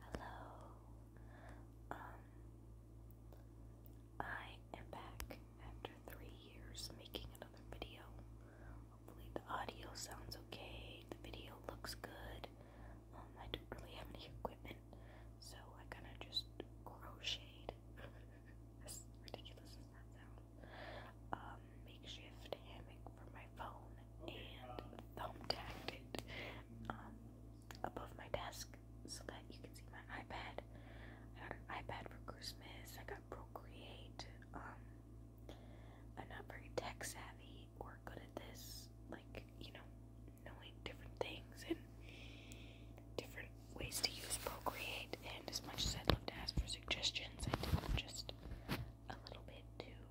Hello. Um I am back after 3 years making another video. Hopefully the audio sounds okay. The video looks good. Um I don't really have any equipment, so I kind of just crocheted. as ridiculous as that sounds. Um makeshift hammock from my phone and thumbtacked it um, above my desk so that you can see my iPad. I got an iPad for Christmas. I got Procreate. Um, I'm not very tech savvy or good at this, like, you know, knowing different things and different ways to use Procreate. And as much as I'd love to ask for suggestions, I did just a little bit too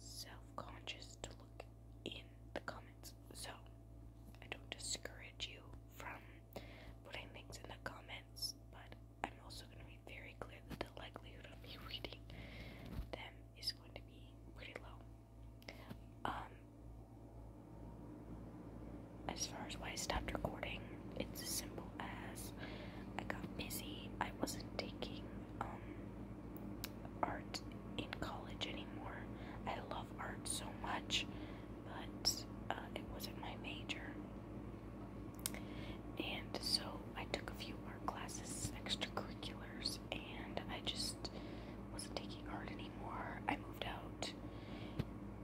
self-conscious to look in the comments. So I don't discourage you from putting things in the comments, but I'm also going to be very clear that the likelihood of me reading them is going to be pretty low. Um, as far as why I stopped recording, it's as simple as I got busy. I wasn't taking um, art in college anymore. I love art so much, but uh, it wasn't my major. And so I took a few art classes, extracurriculars, and I just wasn't taking art anymore. I moved out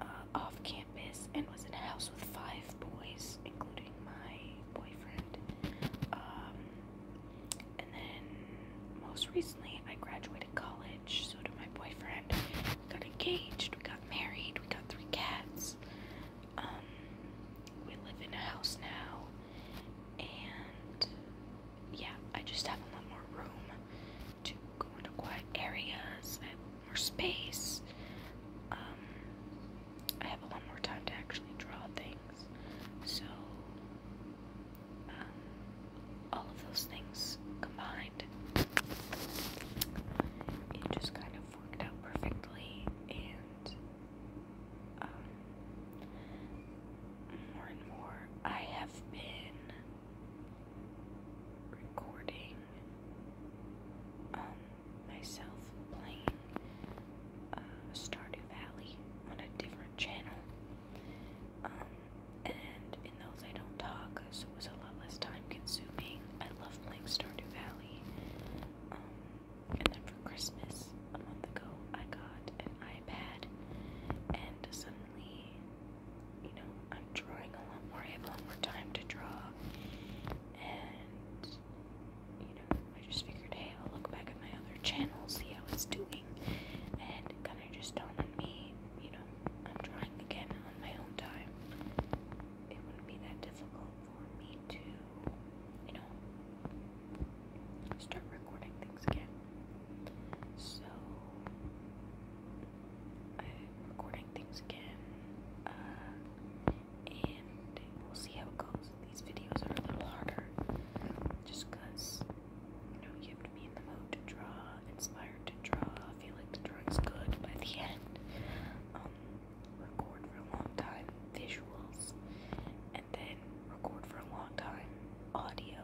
uh, off campus and was in a house with five boys, including my boyfriend. Um, and then most recently, I graduated college. So did my boyfriend. We got engaged. We got married. We got three cats. Um, we live in a house now, and yeah, I just have a lot more room to go into quiet areas. I have more space. Um, I have a lot more time to actually draw things. So um, all of those things combined, it just kind of worked out perfectly, and um, more and more, I have been recording um, myself playing uh, Stardew Valley on a different channel. Um, and in those I don't talk, so it was a lot less time consuming. I love playing Stardew Valley. Um, and then for Christmas, a month ago, I got an iPad, and suddenly, you know, I'm drawing a lot more. I have a lot more time to draw, and you know, I just figured, hey, I'll look back at my other channel, see how it's doing, and kind of just dawned on me, you know, I'm trying again on my own time. It wouldn't be that difficult for me to, you know, start recording things again. So, I'm uh, recording things again, uh, and we'll see how it goes these videos are a little harder just you know you have to be in the mood to draw, inspired to draw, feel like the drawing's good by the end. Um, record for a long time visuals, and then record for a long time audio.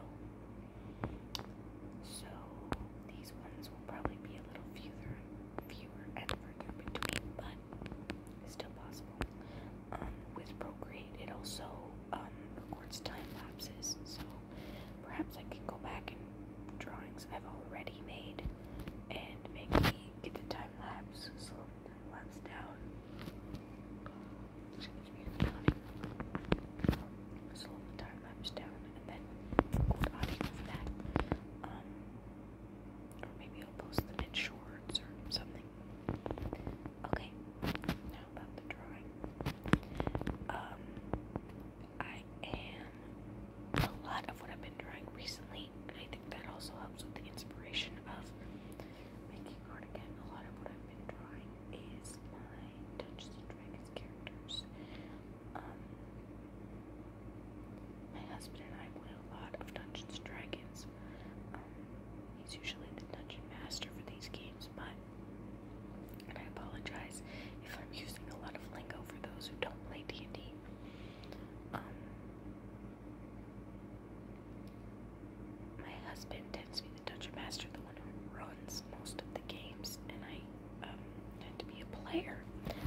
So these ones will probably be a little fewer, fewer and further between, but it's still possible. Um, with Procreate, it also um, records time lapses. So perhaps I can go back and drawings I've already made and maybe get the time lapse, slow the time lapse down. Excuse me, Slow the time lapse down and then record audio from that. Um, or maybe I'll post them in shorts or something. Okay, now about the drawing. Um, I am a lot of what I've been drawing recently, I think that also helps with the inspiration of making art again. A lot of what I've been drawing is my Dungeons and Dragons characters. Um, my husband and I play a lot of Dungeons and Dragons. He's usually the dungeon master for these games, but I apologize if I'm using a lot of lingo for those who don't play D&D. Um, my husband tends to be the dungeon master, the one who runs most of the games, and I um, tend to be a player.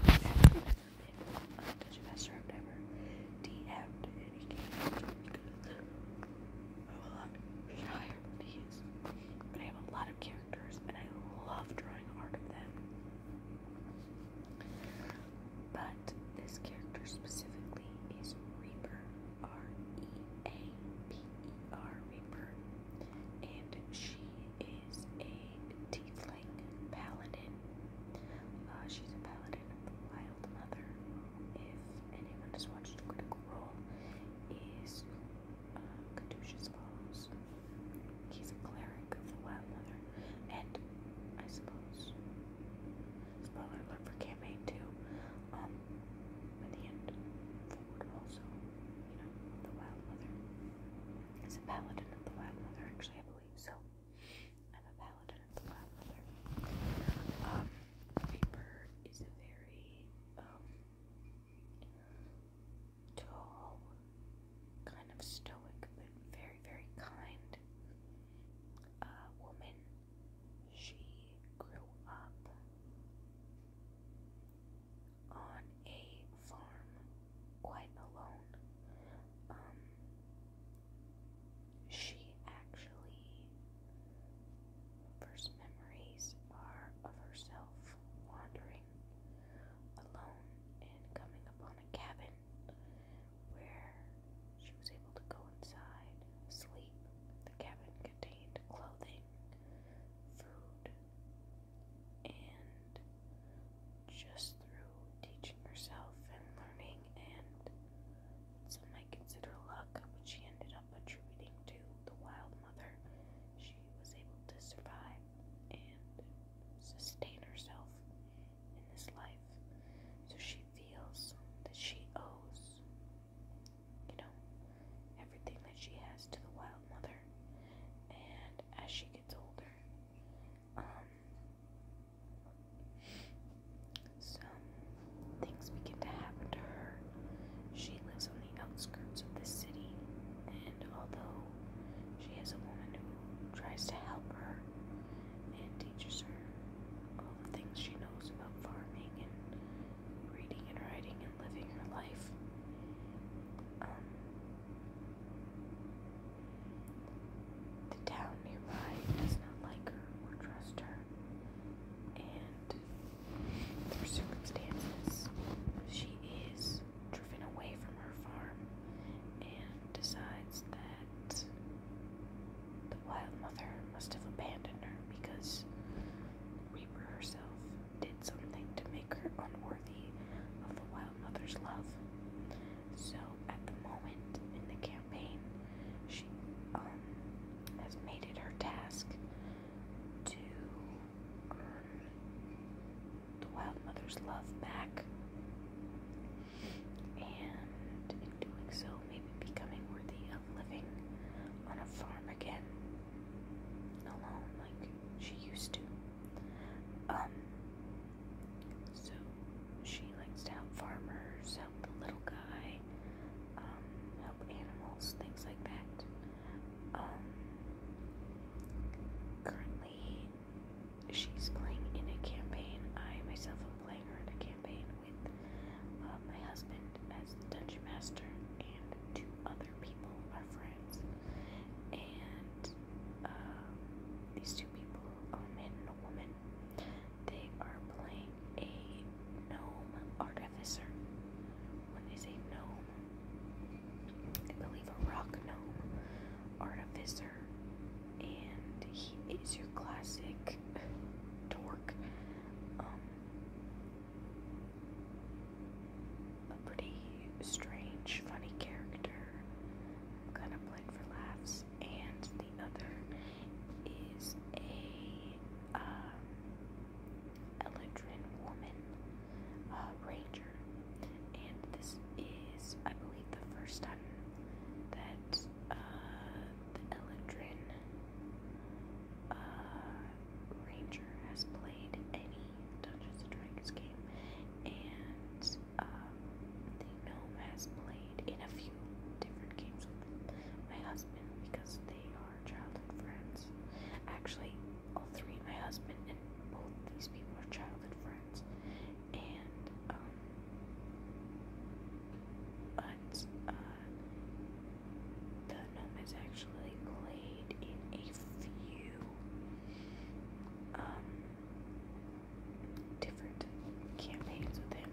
I've never been dungeon master. I've never DM'd any game. I have a but I have a lot of characters and I love drawing art of them. But this character specifically is Reaper, R E A P E R, Reaper, and she is a tiefling paladin. Uh, she's a paladin of the Wild if anyone has watched Critical Role, is uh, Caduceus He's a cleric of the Wild Mother, and I suppose, spoiler alert for campaign 2, um, by the end forward also, you know, the Wild Mother is a paladin of the Wild Mother, actually, I believe, so. I'm a paladin of the lavender. Um, paper is a very um, tall, kind of stoic, but very, very kind uh, woman. She grew up on a farm quite alone. Um, she actually, first memories are of herself wandering alone and coming upon a cabin where she was able to go inside, sleep. The cabin contained clothing, food, and just through teaching herself and learning and some might consider luck, which she ended up attributing to the wild mother. She was able to survive and sustain herself in this life. So she feels that she owes, you know, everything that she has to the wild mother. And as she gets older, um, some things begin to happen to her. She lives on the outskirts of the city, and although she has a woman who tries to help her and teaches her all the things she knows about farming and reading and writing and living her life, um, the town nearby does not like her or trust her and through circumstances, she is driven away from her farm and decides that the wild mother must have abandoned her because Reaper herself did something to make her unworthy of the wild mother's love. So, at the moment in the campaign, she um, has made it her task to earn the Wild Mother's love back, and in doing so, maybe becoming worthy of living on a farm again, alone like she used to. Um, so she likes to help farmers, the little guy, um, help animals, things like that. Um, currently, she's playing in a campaign. I myself am playing her in a campaign with uh, my husband as the dungeon master and two other people, our friends. And uh, these two people, a man and a woman, they are playing a gnome artificer. When they say gnome? I believe a rock gnome artificer. And he is your classic dork. Um, a pretty strange, funny character. Kind of played for laughs and the other is a um, uh, Eladrin woman ranger, and this is, I believe, the first time that uh, the Eladrin uh, ranger has played any Dungeons and Dragons game, and um, the gnome has played in a few different games with my husband because they are childhood friends. Actually, all three, my husband and both these people are childhood friends. And, um, but, uh, the gnome has actually played in a few, um, different campaigns with him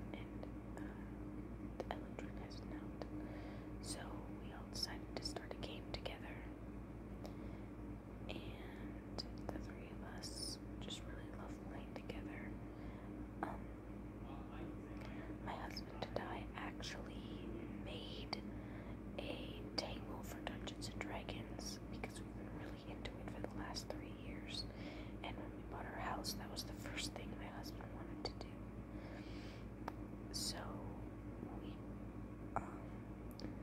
uh, Eldred has So we all decided to start a game together. And the three of us just really love playing together. Um, my husband and I actually made a table for Dungeons and Dragons because we've been really into it for the last three years. And when we bought our house, that was the first thing my husband wanted to do. So we um,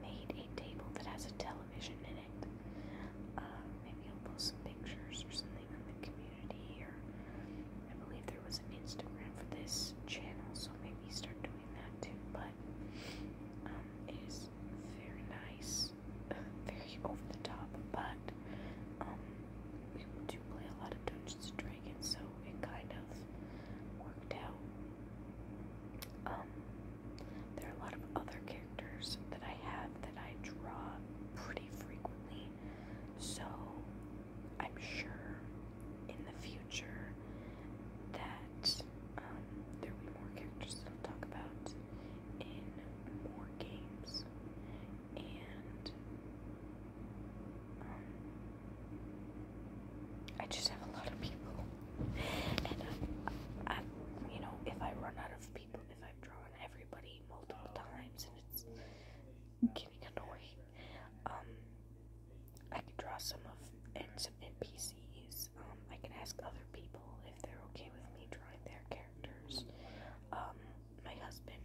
made a table that has a television in it. Uh, maybe I'll post some pictures or something on the community. here. I believe there was an Instagram for this channel, so maybe start doing that too. But um, it is very nice, very over the top, but um, we do play a lot of Dungeons and Dragons, so it kind of worked out. Um, there are a lot of other characters that I have that I draw pretty frequently, so I'm sure in the future that um, there will be more characters that I'll talk about in more games and um, I just have a lot of people, and I, uh, I, you know, if I run out of people, if I've drawn everybody multiple times, and it's getting annoying, um, I can draw some of and some NPCs. Um, I can ask other people if they're okay with me drawing their characters. Um, my husband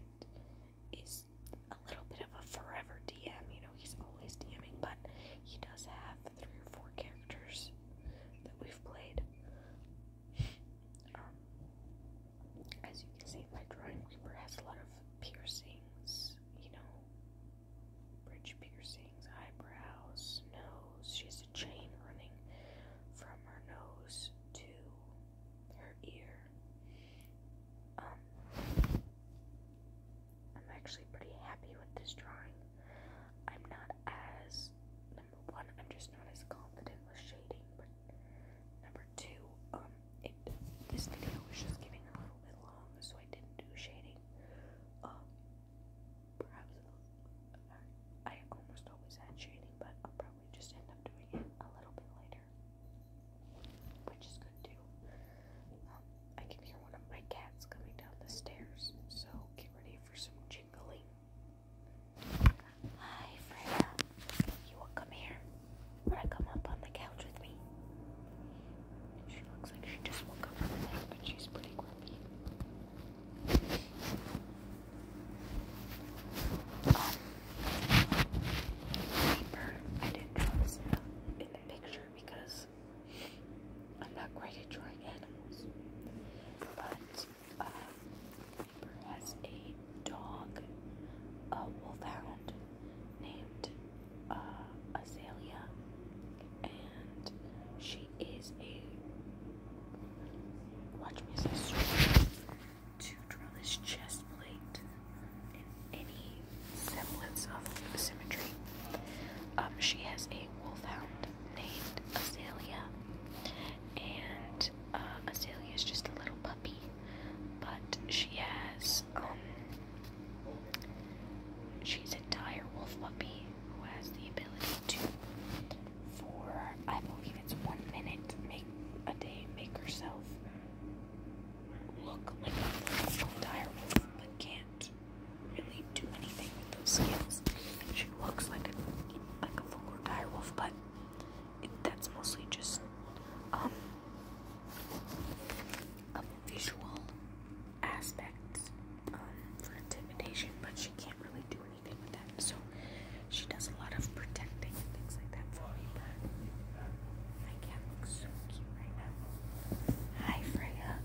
is a little bit of a forever DM, you know, he's always DMing, but he does have three or four characters that we've played. Um, as you can see, my drawing Reaper has a lot of piercings, you know, bridge piercings, eyebrows, nose. She has a chain running from her nose to her ear. Um, I'm actually pretty happy with this drawing. I'm not as, number one, I'm just not as confident with shading, but number two, um, this video was just getting a little bit long, so I didn't do shading. Um, perhaps, I almost always had shading, but I'll probably we just end up doing it a little bit later, which is good too. Um, I can hear one of my cats coming down the stairs, so get ready for some jingling. Hi, Freya. You will come here. Wanna come up on the couch with me? She looks like she just woke up from the bed, but she's pretty grumpy. Paper. I didn't draw in the picture because I'm not great at drawing animals. But uh, paper has a dog, a wolfhound named uh, Azalea, and she is a watch me say to draw this chest plate in any semblance of symmetry. Um, she has a wolfhound named Azalea, and uh, Azalea is just a little puppy, but she has um, she's a dire wolf puppy who has the ability to, for I believe it's one minute, a day make herself look like a direwolf, but can't really do anything with those skills. She looks like a like a vulgar direwolf, but it, that's mostly just um a visual aspect um, for intimidation, but she can't really do anything with that. So she does a lot of protecting and things like that for me, but my cat looks so cute right now. Hi, Freya.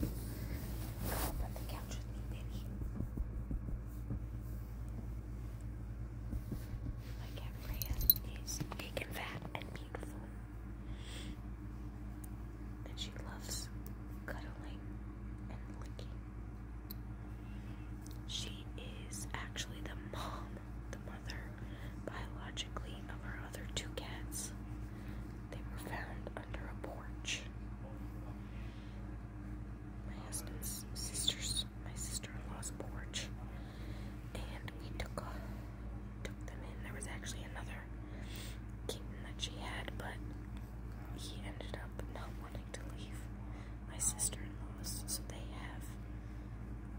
Come up on the couch with me, baby. My cat Freya is big and fat and beautiful. And she loves cuddling and licking. She is actually the mom the mother biologically of our other two cats. They were found under a porch. My husband's sister's, my sister-in-law's porch, and we took off, took them in. There was actually another kitten that she had, but he ended up not wanting to leave my sister in law's, so they have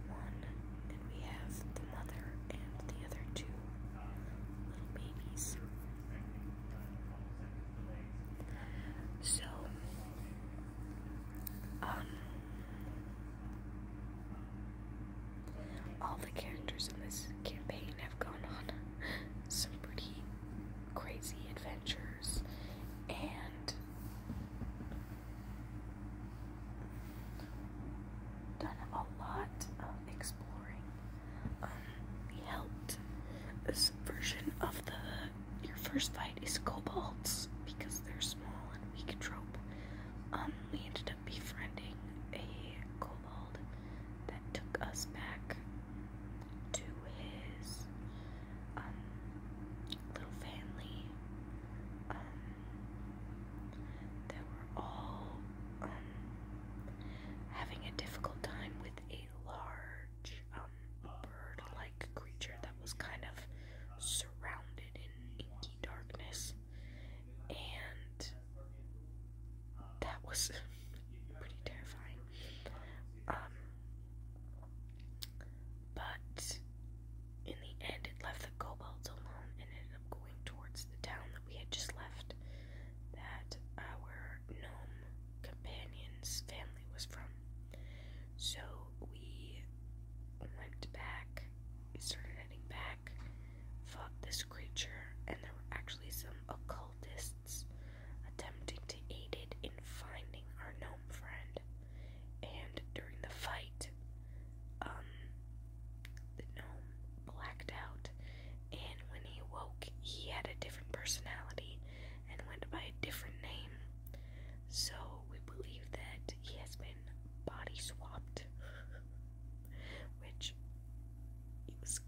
one, and we have the mother and the other two little babies. So, um, all the characters in this campaign have gone on some pretty crazy adventures and done a lot of exploring. Um, helped this version of the your first fight is kobolds because they're small and weak trope. Um, we ended up befriending a kobold that took us back to his um, little Fanley, um, were all um, having a difficult time with a large um, bird-like creature that was kind of surrounded in inky darkness, and that was pretty terrifying. But in the end, it left the kobolds alone and ended up going towards the town that we had just left, that our gnome companion's family was from. So we went back, we started heading back, fought this creature, and there were actually some occultists attempting to aid it in finding our gnome friend. And during the fight, um, the gnome blacked out. And when he woke, he had a different personality and went by a different name. So we believe that he has been body swapped, which it was,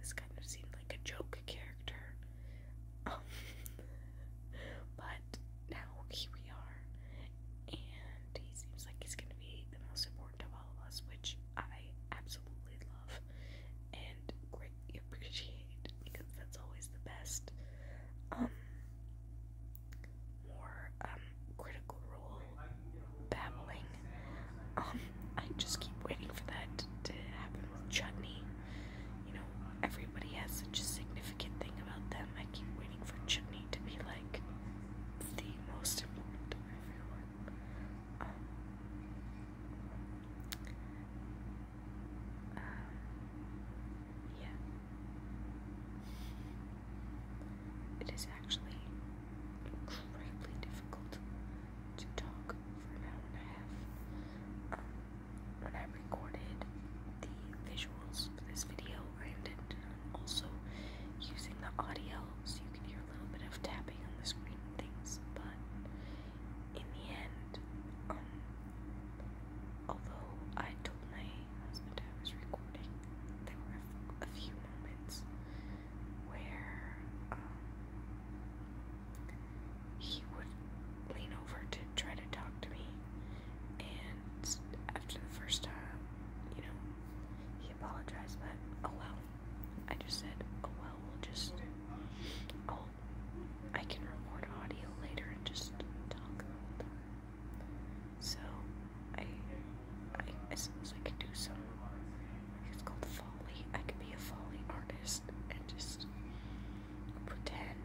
was kind of seemed like a joke character. but now here we are, and he seems like he's going to be the most important of all of us, which I absolutely love and greatly appreciate because that's always the best. Um, more um critical role babbling. Um, I just keep waiting for that to happen with Chutney you know, everybody has such a significant thing about them. I keep waiting for Chutney to be like the most important to um, yeah. It is actually incredibly difficult to talk for an hour and a half. Um, when I recorded the visuals for this video, I intended on also using the audio so you can hear a little bit of tapping on the screen and things, but in the end, um, although I told my husband I was recording, there were a, few moments where um, he would lean over to try to talk to me and after the first time, you know, he apologized, but oh well. I just said, oh well, we'll just. I'll, I can record audio later and just talk the whole time. So, I, I, suppose I could do so. It's called folly. I could be a folly artist and just pretend.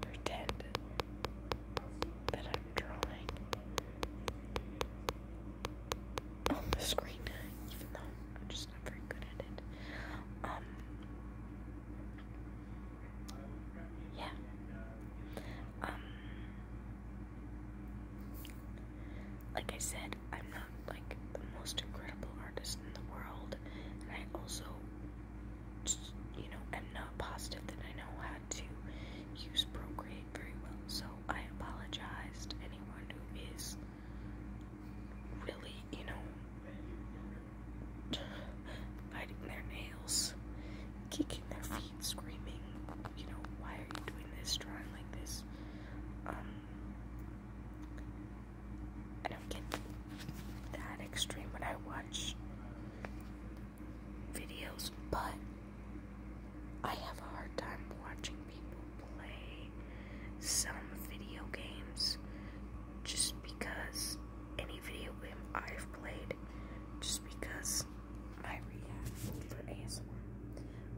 Pretend that I'm drawing on the screen, even though I'm just not very good at it. Um, yeah. Um, like I said, I'm not like the most incredible artist in the world, and I also, just, you know, am not positive that I know how to use Procreate very well. So I apologize to anyone who is really, you know, biting their nails, kicking their feet, screaming, you know, why are you doing this, drawing like this? Um, I don't get that extreme when I watch videos, but I have a hard time watching people play some video games just because any video game I've played just because I react for ASMR.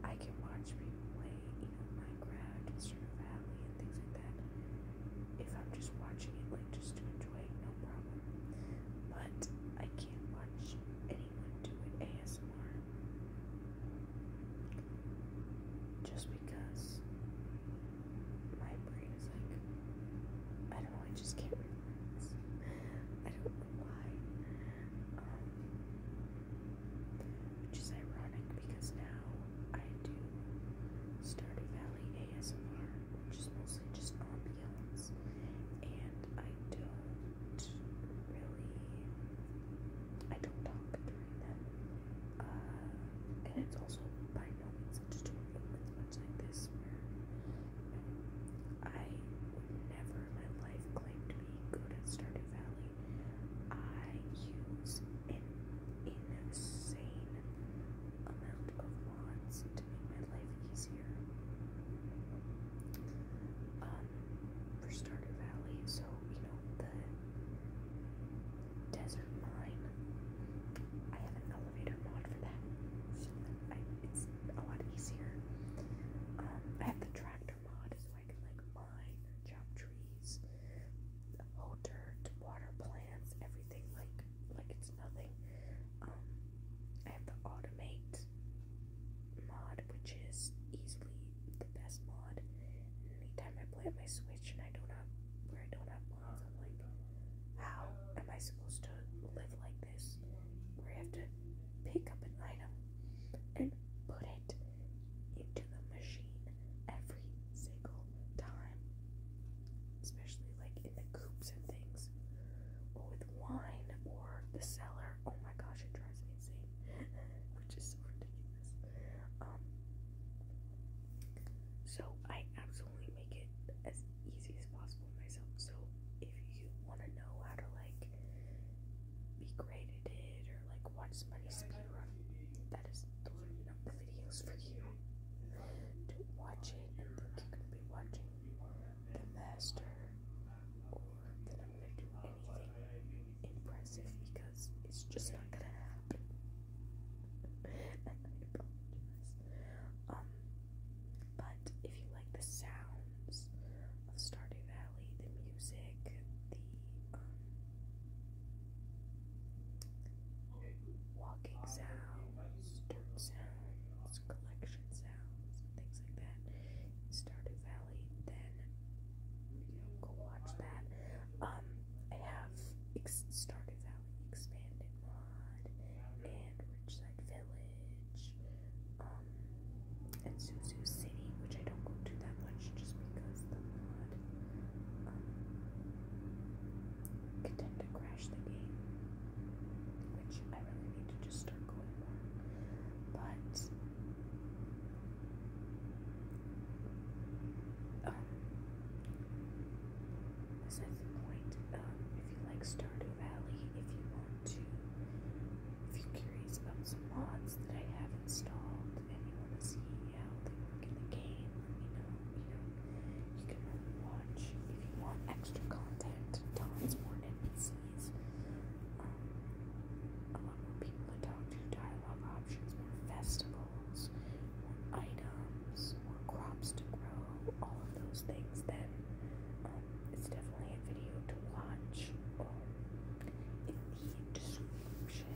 I can watch people play, you know, Minecraft and Stardew and things like that. If I'm just watching it, like, just to enjoy no problem. But I can't watch anyone do an ASMR. Just because my brain is like, I don't know, I just can't relax. I don't know why. Um, which is ironic because now I do Stardew Valley ASMR, which is mostly just ambience, and I don't really, I don't talk during them. Uh, and it's also by no means a tutorial, like this I never in life claim to be good at Stardew Valley. I use an insane amount of mods to make my life easier. Um, for Stardew Valley, so you know the desert mine elevator mod for that, I, it's a lot easier. Um, I have the tractor mod, so I can like mine, chop trees, hoe dirt, water plants, everything like like it's nothing. Um, I have the automate mod, which is easily the best mod. Anytime I play my Switch and I don't have where I don't have mods, I'm like, how am I supposed to live like this, where you have to pick up an item and put it into the machine every single time, especially like in the coops and things, or with wine or the cellar. Oh my gosh, it drives me insane, which is so ridiculous. Um, so I absolutely make it as easy as possible myself. So if you want to know how to like be great at or like watch somebody speedrun, that is those are the videos for you. To watch it and you're gonna be watching the master or that I'm gonna do anything impressive because it's just not gonna happen. and I apologize. Um but if you like the sounds of Stardew Valley, the music, the um, walking sounds, dirt sounds, collection sounds, things like that Stardew Valley, then go watch that. Um, I have ex Stardew Valley expanded mod and Ridgeside Village, um, and Suzu City, which I don't go to that much just because the mod um tend to crash the game, which I really need to just start going more. But um, as the point. Um, if you like Stardew Valley, if you want to, if you're curious about some mods that I have installed and you want to see how they work in the game, let me know. You know, you can watch if you want extra content. Tons more NPCs. Um, a lot more people to talk to, dialogue options, more festivals, more items, more crops to grow, all of those things, then um, it's definitely a video to watch um, in the description.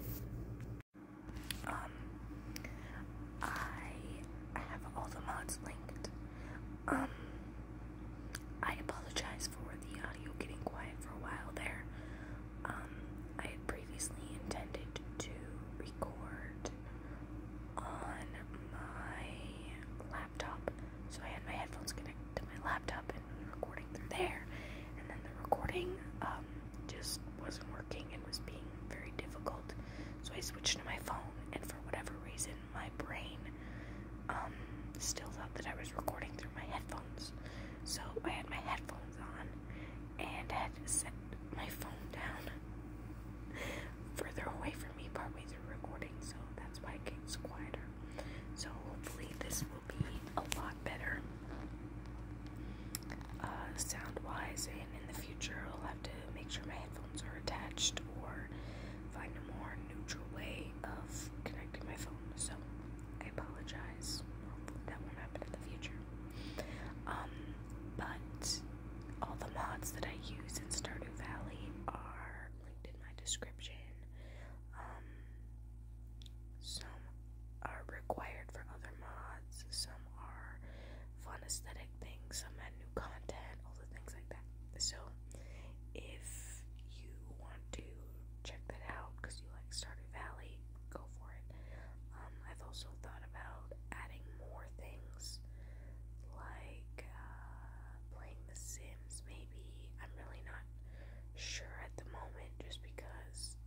Um, I have all the mods linked. Um, I apologize for the audio getting quiet for a while there. Um, I previously intended to record on my laptop. So I had my headphones connected to my laptop and recording through there. And then the recording um, just wasn't working and was being very difficult. So I switched to my phone, and for whatever reason, my brain um, still thought that I was recording through my headphones. So I had my headphones on and had set my phone down further away from me partway through recording, so that's why it gets quieter. So hopefully this will be a lot better uh, sound-wise, and in the future I'll have to make sure my headphones are attached or find a more neutral way of connecting my phone. So I apologize. that won't happen in the future. Um, but all the mods that I use in Stardew Valley are linked in my description. Um, some are required for other mods, some are fun aesthetic things, some add new content, all the things like that. So, if you want to check that out because you like Stardew Valley, go for it. Um, I've also thought about adding more things like uh, playing The Sims, maybe. I'm really not sure at the moment just because,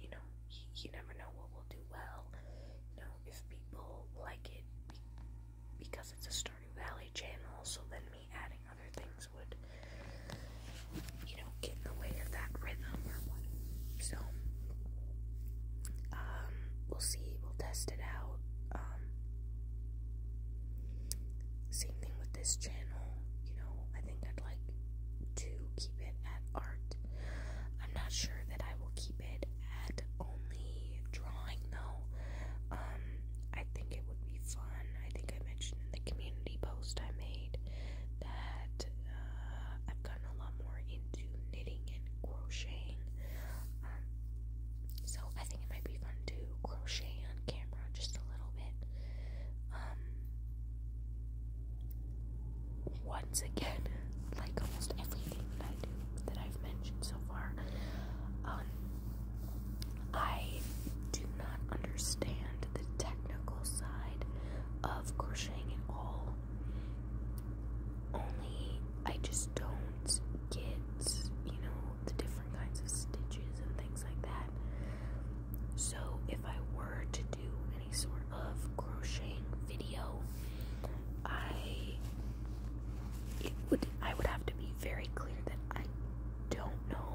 you know, you, you never know what will do well. You know, if people like it be because it's a Stardew Valley channel, so then me adding other things would, you know, get in the way of that rhythm or what. So, um, we'll see, we'll test it out. Um, same thing with this channel, you know, I think I'd like to keep it at art. I'm not sure that I will keep it at only drawing though. Um, I think it would be fun. I think I mentioned in the community post I made that uh, I've gotten a lot more into knitting and crocheting. Um, so I think it might be fun to crochet on camera just a little bit. Um, once again, like almost everything that I do that I've mentioned so far, um, I do not understand the technical side of crocheting at all. Only I just don't get, you know, the different kinds of stitches and things like that. So, if I were to do any sort of crocheting video, I it would I would have to be very clear that I don't know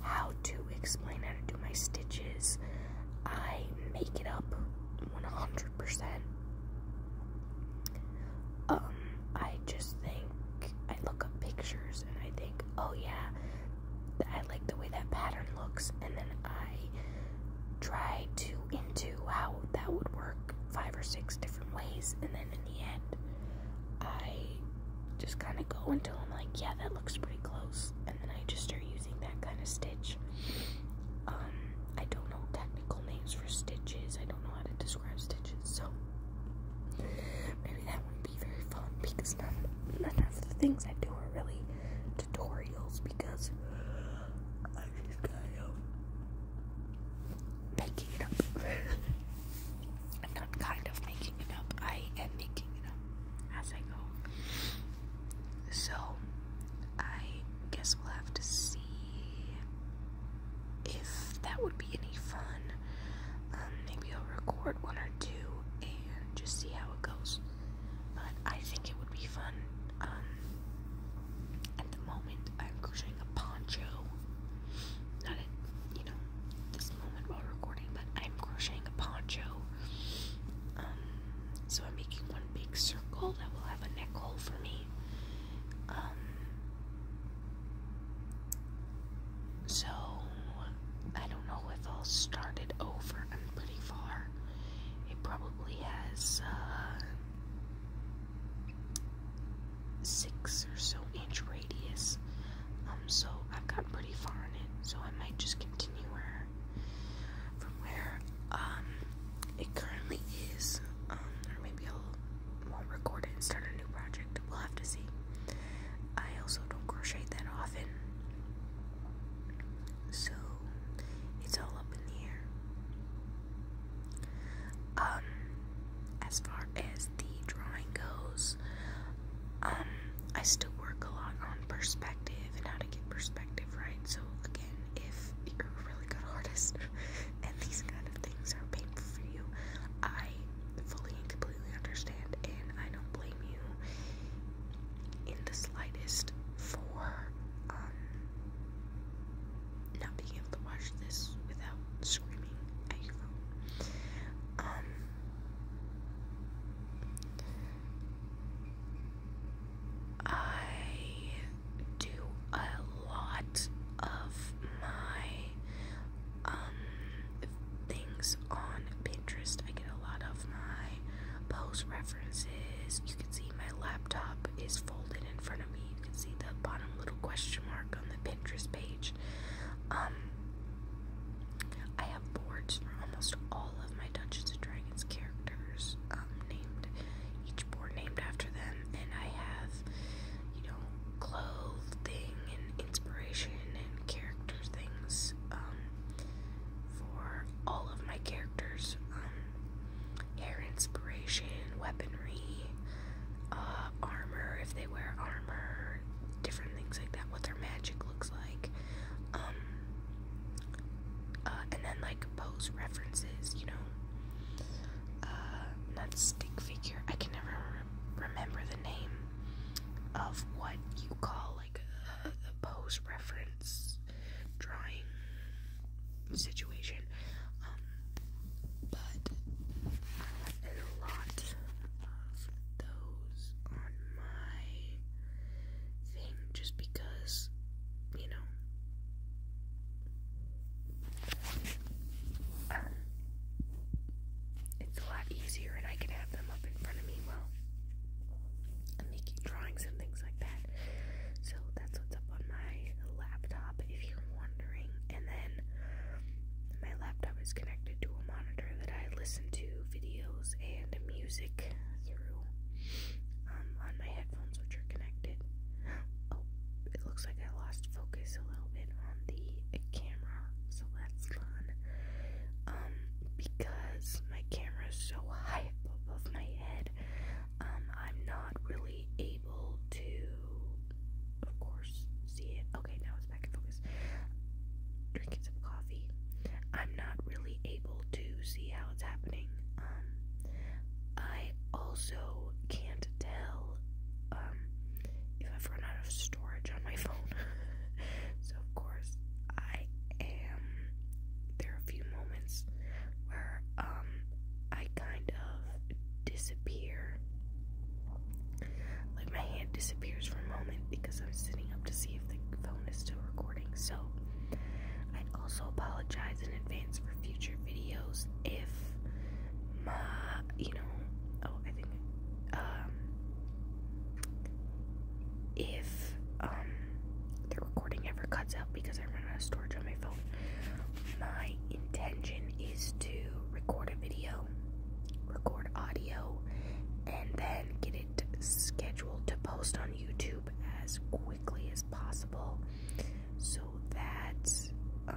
how to explain how to do my stitches. I make it up 100%. Um, I just think I look up pictures and I think, oh yeah, I like the way that pattern looks, and then I try to into how that would work five or six different ways, and then in the end, I just kind of go until I'm like, yeah, that looks pretty close, and then I just start using that kind of stitch. Um, I don't know technical names for stitches. I don't know how to describe stitches, so maybe that would be very fun because none, of the things I do are really tutorials because I just kind of making it up. I'm not kind of making it up. I am making it up as I go. So I guess we'll have to see if that would be any fun. Um, maybe I'll record one or two and just see how it goes. But I think it would be fun. Um, at the moment, I'm crocheting a poncho. Not at, you know, this moment while recording, but I'm crocheting a poncho. Um, so I'm making one big circle that will have a neck hole for me. Um, so, I don't know if I'll start it over. I'm pretty far. It probably has uh, six or so inch radius. Um, so I've gotten pretty far in it. So I might just continue where from where um, it currently is. Um, or maybe I'll won't record it and start a new project. We'll have to see. I also don't crochet that often, so it's all up in the air. Um, as far as the drawing goes, um, I still work a lot on perspective and how to get perspective right. So again, if you're a really good artist, and these kind of things are painful for you, I fully and completely understand, and I don't blame you in the slightest for um, not being able to watch this without screaming um, I do a lot of my um things on Pinterest. I get a lot of my post references. You can see my laptop is folded in front of me. You can see the bottom little question mark on the Pinterest page. Um I have boards for almost all of my Dungeons and Dragons characters um named each board named after them and I have, you know, clothing and inspiration and character things um, for all of my characters. Um, hair inspiration, weaponry, uh, armor if they wear armor, different things like that. What their magic looks like. Um, uh, and then like pose references, you know uh, not stick figure. I can never remember the name of what you call like a, pose reference drawing situation. Um, but a lot of those on my thing just because, you know, it's a lot easier, and I can have them up in front of me while I'm making drawings and things like that. So that's what's up on my laptop, if you're wondering. And then my laptop is connected to a monitor that I listen to videos and music through. Um, on my headphones, which are connected. Oh, it looks like I lost focus a little bit on the camera, so that's fun. Um, because my camera is so high up above my head, um, I'm not really able to, of course, see it. Okay, now it's back in focus. Drinking some coffee. I'm not really able to see how it's happening. Um, I also can't tell um, if I've run out of storage on my phone. so, of course, I am. There are a few moments where um, I kind of disappear. Like, my hand disappears for a moment because I'm sitting up to see if the phone is still recording. So, I also apologize in advance future videos if you know, oh, I think, um, if, um, the recording ever cuts out because I run out of storage on my phone, my intention is to record a video, record audio, and then get it scheduled to post on YouTube as quickly as possible so that um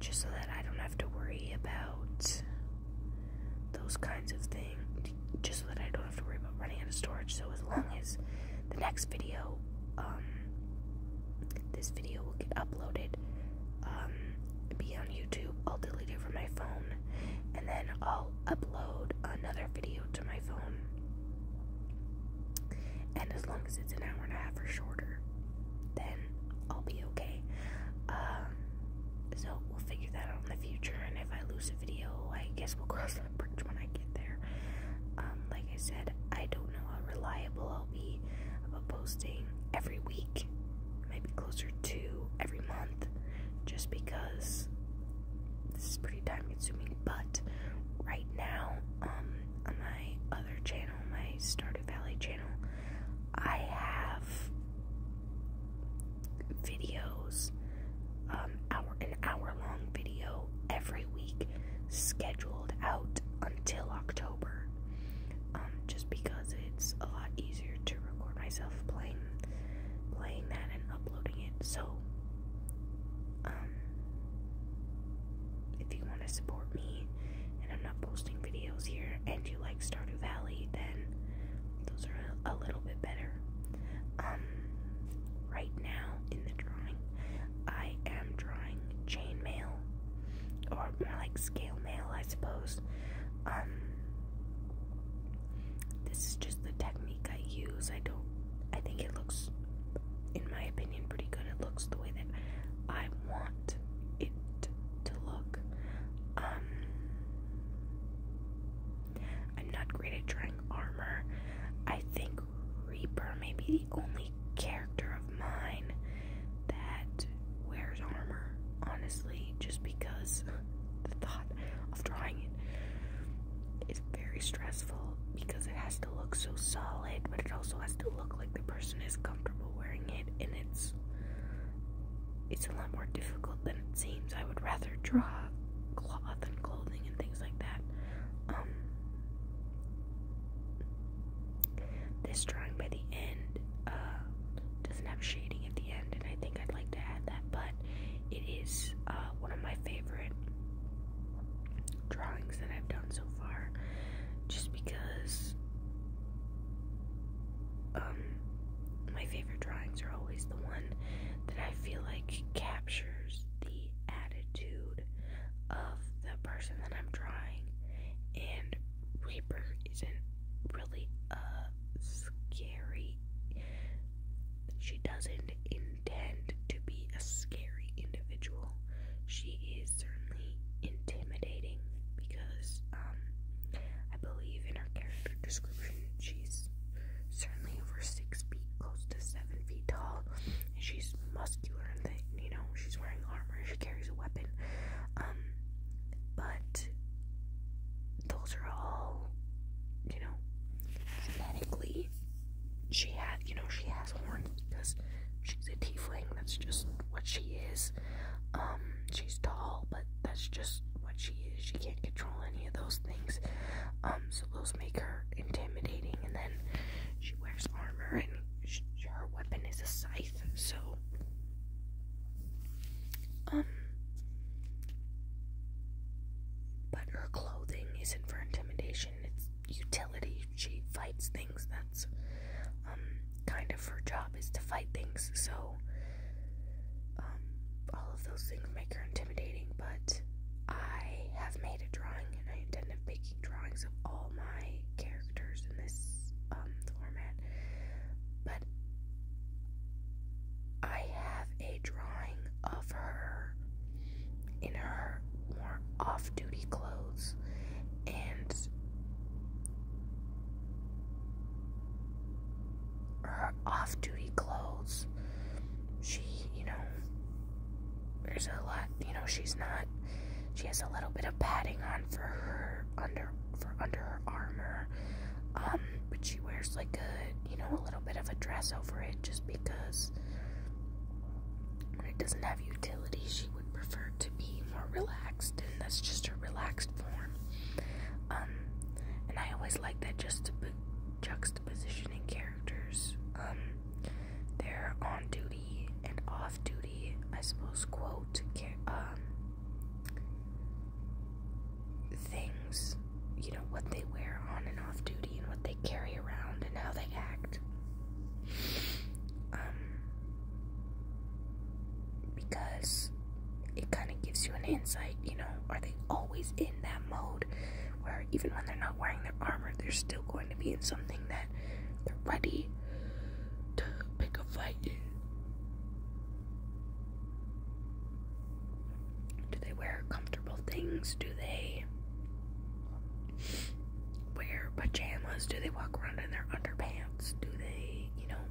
just so that I don't have to worry about those kinds of things just so that I don't have to worry about running out of storage so as long as the next video um this video will get uploaded um be on YouTube I'll delete it from my phone and then I'll upload another video to my phone and as long as it's an hour and a half or shorter, then I'll be okay. Um, so we'll figure that out in the future. And if I lose a video, I guess we'll cross that bridge when I get there. Um, like I said, I don't know how reliable I'll be about posting every week, maybe closer to every month, just because this is pretty time consuming, but right now, um, on my other channel, my Stardew Valley channel, I have videos, um, hour, an hour long video every week scheduled out until October. Um, just because it's a lot easier to record myself playing playing that and uploading it. So um, if you want to support me and I'm not posting videos here and you like Stardew Valley, then those are a, little bit better. Um, right now in the drawing, I am drawing chainmail or more like scale mail, I suppose. Um, this is just the technique I use. I don't I think it looks, in my opinion, pretty good. It looks the way that I want it to look. Um, I'm not great at drawing armor. I think Reaper may be the only character of mine that wears armor, honestly, just because the thought of drawing it it's very stressful because it has to look so solid, but it also has to look like the person is comfortable wearing it, and it's it's a lot more difficult than it seems. I would rather draw cloth and clothing and things like that. Um, this drawing by the end uh, doesn't have shading at the end, and I think I'd like to add that, but it is uh, one of my favorite drawings that I've done so far just because um my favorite drawings are always the one that I feel like captures the attitude of the person that I'm drawing and Reaper isn't really a scary she doesn't intend to be a scary individual. She is certainly intimidating because um, I believe in her character description, she's certainly over six feet, close to seven feet tall, and she's muscular and You know, she's wearing armor. She carries a weapon. Um, but those are all, you know, genetically she she you know she has horns because she's a T fling. that's just what she is um, she's tall but that's just what she is she can't control any of those things um, so those make her intimidating and then she wears armor and she, her weapon is a scythe so um but her clothing isn't for intimidation it's utility. She fights things. That's um, kind of her job is to fight things. So um, all of those things make her intimidating. But I have made a drawing, and I intend on making drawings of all my characters in this um, format. But I have a drawing of her in her more off duty clothes and her off duty clothes. She, you know, there's a lot, you know, she's not, she has a little bit of padding on for her under, for under her armor. Um, but she wears like a, you know, a little bit of a dress over it just because when it doesn't have utility, she would prefer to be more relaxed, and that's just her relaxed form. Um, and I always like that juxtaposition in characters. Um, they're on duty and off duty, I suppose, quote, um, things, you know, what they wear on and off duty and what they carry around and how they act. Um, because it kind of gives you an insight, you know, are they always in that mode where even when they're not wearing their armor, they're still going to be in something that they're ready to pick a fight Do they wear comfortable things? Do they wear pajamas? Do they walk around in their underpants? Do they, you know,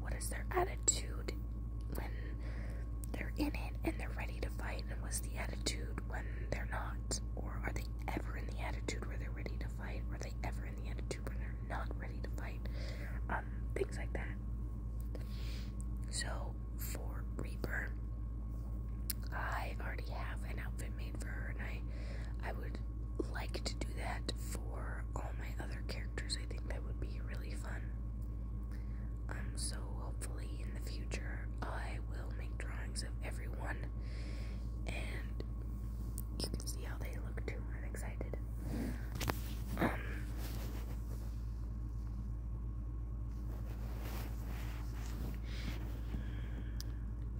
what is their attitude when they're in it and they're ready to fight? And what's the attitude when they're not? Or are they ever in the attitude where they're ready to fight? Are they ever in the attitude where they're not ready to fight? Um, things like that. So, for Reaper. I already have an outfit made for her, and I, I would like to do that for all my other characters. I think that would be really fun. Um, so hopefully in the future, I will make drawings of everyone, and you can see how they look too. I'm excited. Um,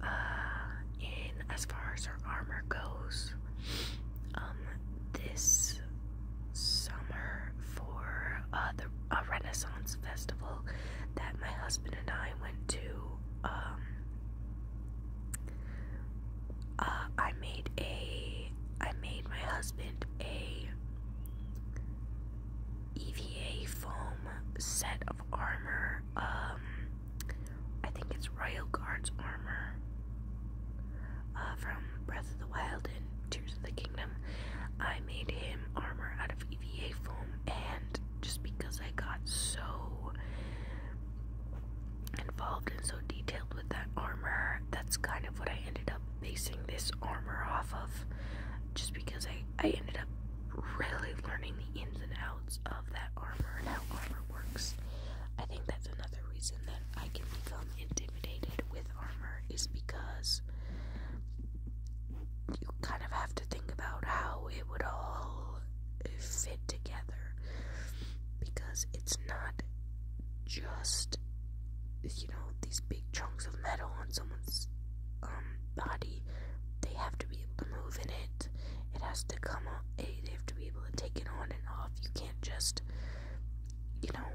uh, and as far as her armor goes, um, this summer for uh, the Renaissance Festival that my husband and I went to, um, uh, I made a, I made my husband a EVA foam set of armor. Um, I think it's Royal Guard's armor uh, from Breath of the Wild and Tears of the Kingdom. I made him armor out of EVA foam, and just because I got so involved and so detailed with that armor, that's kind of what I ended up basing this armor off of. Just because I I ended up really learning the ins and outs of that armor and how armor works. I think that's another reason that I can become intimidated with armor is because you kind of have to think about how it would all fit together because it's not just you know, these big chunks of metal on someone's um, body, they have to be able to move in it. It has to come on they have to be able to take it on and off. You can't just you know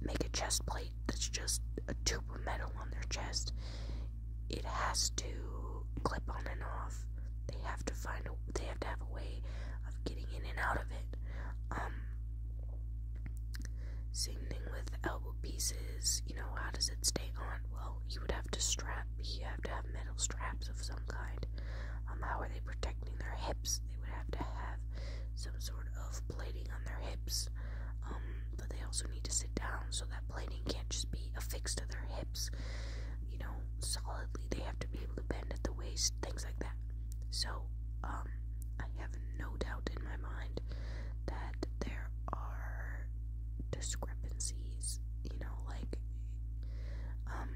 make a chest plate that's just a tube of metal on their chest. It has to clip on and off. They have to find a they have to have a way of getting in and out of it. Um, same thing with elbow pieces. You know, how does it stay on? Well, you would have to strap. You have to have metal straps of some kind. Um, how are they protecting their hips? They would have to have some sort of plating on their hips. Um, but they also need to sit down, so that plating can't just be affixed to their hips. You know, solidly. They have to be able to bend at the waist, things like that. So, um, I have no doubt in my mind that there are discrepancies, you know, like um,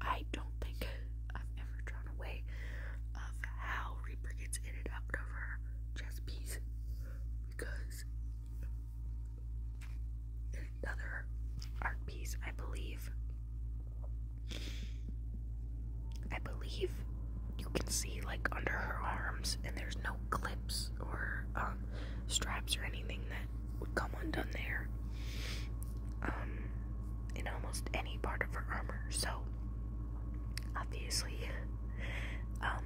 I don't think I've ever drawn away of how Reaper gets in and out chess piece because another art piece I believe I believe you can see like under her arms, and there's no clips or um, straps or anything that would come undone there. Um, in almost any part of her armor. So obviously, um,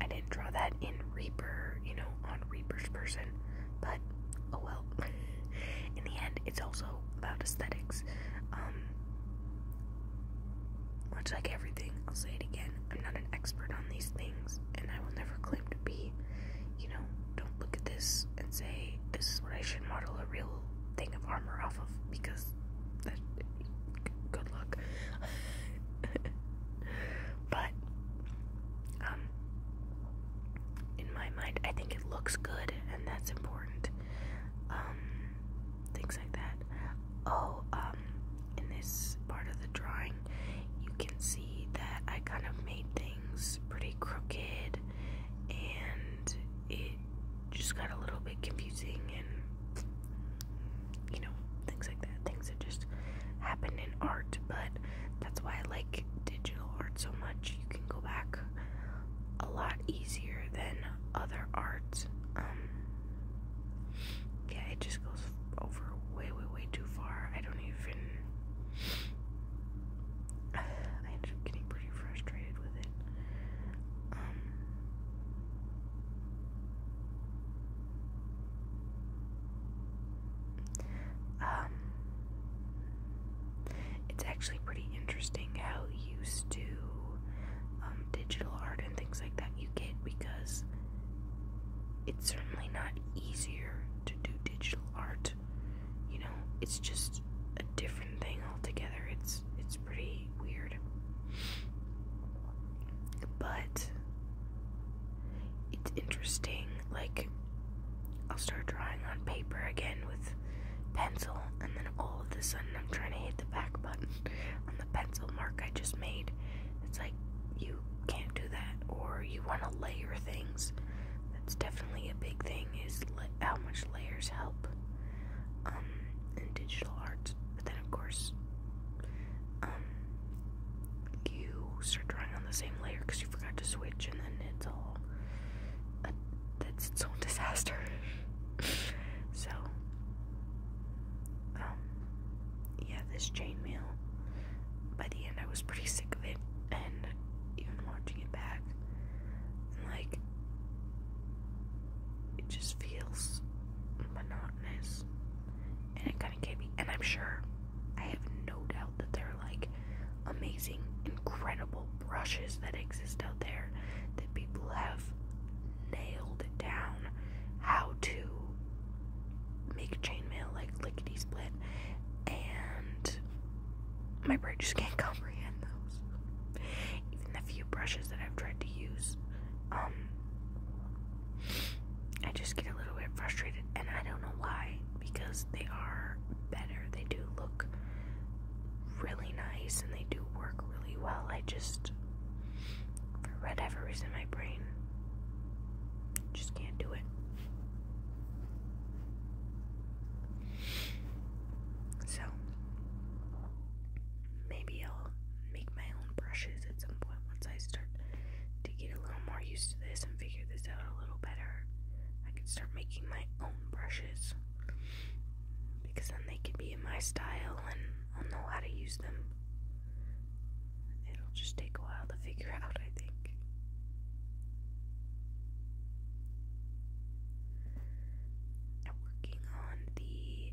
I didn't draw that in Reaper, you know, on Reaper's person, but oh well. in the end, it's also about aesthetics. Um, much like everything, I'll say it again. I'm not an expert on these things, and I will never claim to be. You know, don't look at this and say, this is what I should model a real thing of armor off of, because that. Good luck. but, um, in my mind, I think it looks good, and that's important. Um, things like that. Oh, um, in this part of the drawing, you can see that I kind of made things pretty crooked and it just got a little bit confusing and you know, things like that. Things that just happen in art, but that's why I like digital art so much. You can go back a lot easier than other arts. Um, yeah, it just goes over way, way, way too far. I don't even. I ended up getting pretty frustrated with it. Um, um, it's actually pretty interesting how you used to um, digital art and things like that you get because it's certainly not easier to do digital art. You know, it's just a different thing altogether. It's it's pretty weird. But it's interesting. Like I'll start drawing on paper again with pencil and all of a sudden I'm trying to hit the back button on the pencil mark I just made. It's like you can't do that, or you want to layer things. That's definitely a big thing is how much layers help um, in digital art. But then of course, um, you start drawing on the same layer because you forgot to switch, and then it's all that's its own disaster. so um, yeah, this chainmail. By the end, I was pretty sick of it, and even watching it back, like, it just feels monotonous. And it kind of gave me, and I'm sure, I have no doubt that there are like amazing, incredible brushes that exist out there that people have nailed down how to make chainmail like lickety split, and my brain just can't comprehend those. Even the few brushes that I've tried to use, um, I just get a little bit frustrated, and I don't know why because they are better. They do look really nice and they do work really well. I just, for whatever reason, my brain just can't do it. So, maybe I'll make my own brushes at some point once I start to get a little more used to this and figure this out a little better. I can start making my own brushes because then they can be in my style and I'll know how to use them. It'll just take a while to figure out, I think. working on the,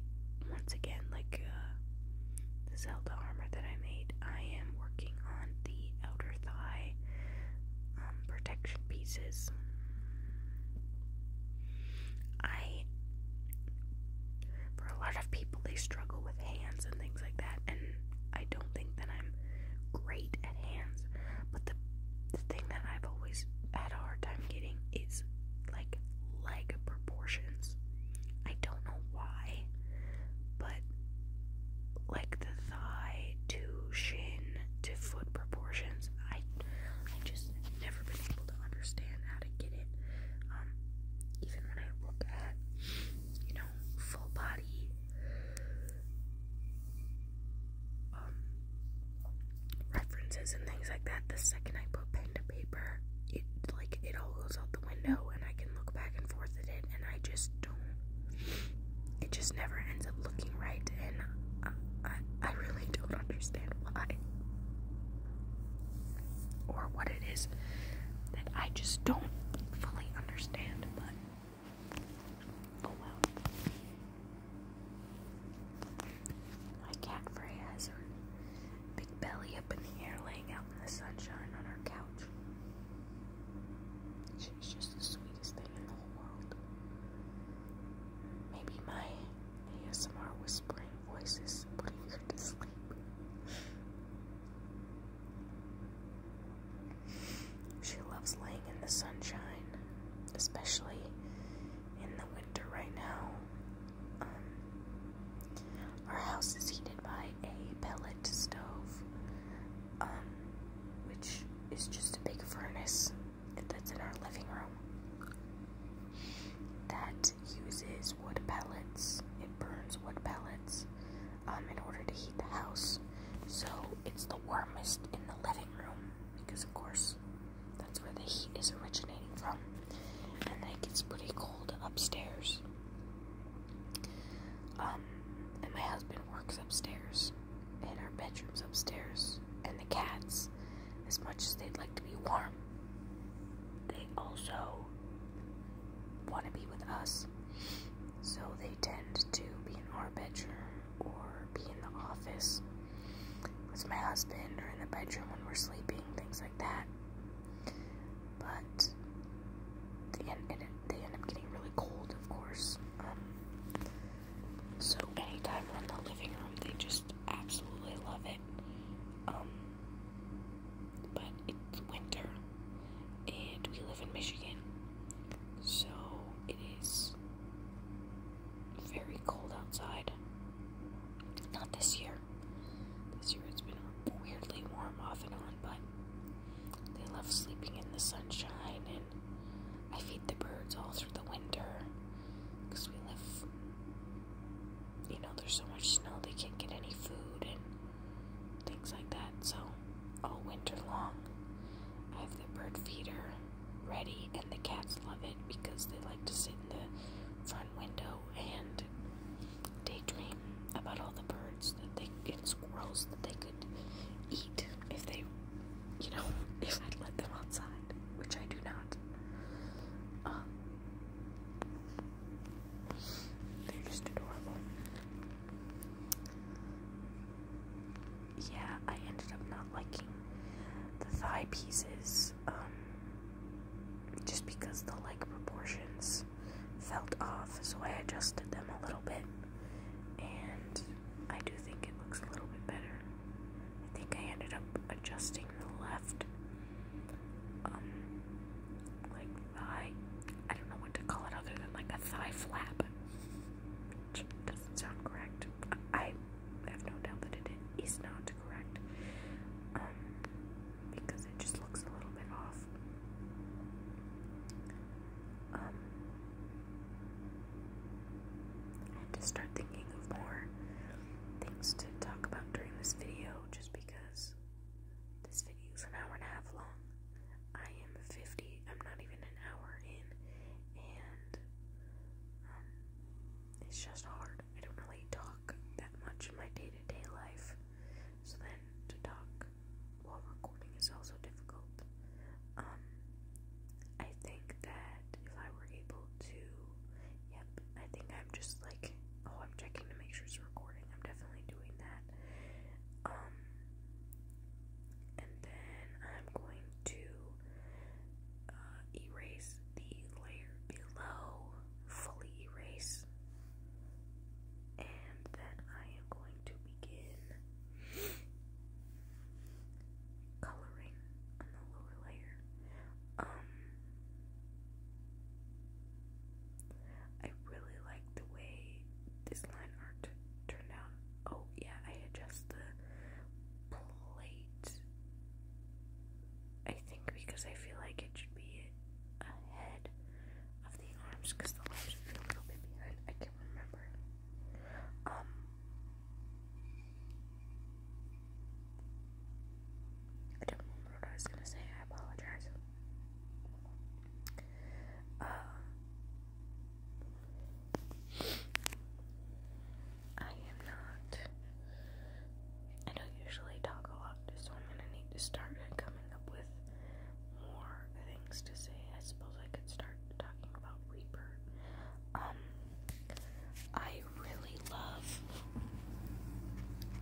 once again, like uh, the Zelda armor that I made. I am working on the outer thigh um, protection pieces. I, for a lot of people, they struggle with hands and things like that, and I don't think that I'm great at hands, but the, the thing that I've always had a hard time getting is like leg proportions. I don't know why, but like the thigh to shin to foot proportions, I I just never been able to understand how to get it. Um, even when I look at, you know, full body um, references and things like that, the second I put pen to paper, it like it all goes out the window, and I can look back and forth at it, and I just don't. It just never ends up looking right, and I, I really don't understand why or what it is that I just don't fully understand, but oh well. My cat Freya has her big belly up in the air laying out in the sunshine on her couch. She's just the sweetest thing in the whole world. Maybe my ASMR whispering voices putting her to sleep. She loves laying in the sunshine, especially in the winter right now. Um, our house is heated by a pellet stove, um, which is just a big furnace that's in our living room that uses wood pellets. It burns wood pellets um, in order to heat the house. So it's the warmest in the living room because, of course, that's where the heat is originating from. And then it gets pretty cold upstairs. Um, and my husband works upstairs, and our bedroom's upstairs, and the cats as much as they'd like to be warm, they also want to be with us. So they tend to be in our bedroom or be in the office with my husband or in the bedroom when we're sleeping, things like that. But they end, they end up getting really cold, of course. Um, so anytime we're in the living room, they just absolutely love it. Um, but it's winter, and we live in Michigan, so it is very cold outside. Not this year. This year it's been weirdly warm off and on, but they love sleeping in the sunshine, and I feed the birds all through the winter because we live you know, there's so much snow they can't get any food and things like that. So, all winter long, I have the bird feeder ready, and the cats love it because they like to sit in the front window and daydream about all the birds that they and squirrels that they could eat if they, you know, if I'd let them outside which I do not. Um, they're just adorable. Yeah, I ended up not liking the thigh pieces, um, just because the leg proportions felt off, so I adjusted them a little bit, and I do think it looks a little bit better. I think I ended up adjusting left. Um, like thigh. I don't know what to call it other than like a thigh flap. doesn't sound correct. I have no doubt that it is not correct. Um, because it just looks a little bit off. Um, I to start thinking of more things to talk about during this video just because this video is an hour and a half long. I am 50, I'm not even an hour in, and um, it's just hard. I don't really talk that much in my day to day life, so then to talk while recording is also difficult. Um, I think that if I were able to. Yep, I think I'm just like. Oh, I'm checking to make sure it's recording. I'm definitely doing that. Um, and then I'm going to uh, erase the layer below, fully erase, and then I am going to begin coloring on the lower layer. Um, I really like the way this line art turned out. Oh, yeah, I adjust the plate. I think because I feel like it should be ahead of the arms because the arms should a little bit behind. I can't remember. Um, I don't remember what I was gonna say. I apologize. Um, I am not. I don't usually talk a lot, so I'm gonna need to start coming up with more things to say. I suppose I could start talking about Reaper. Um, I really love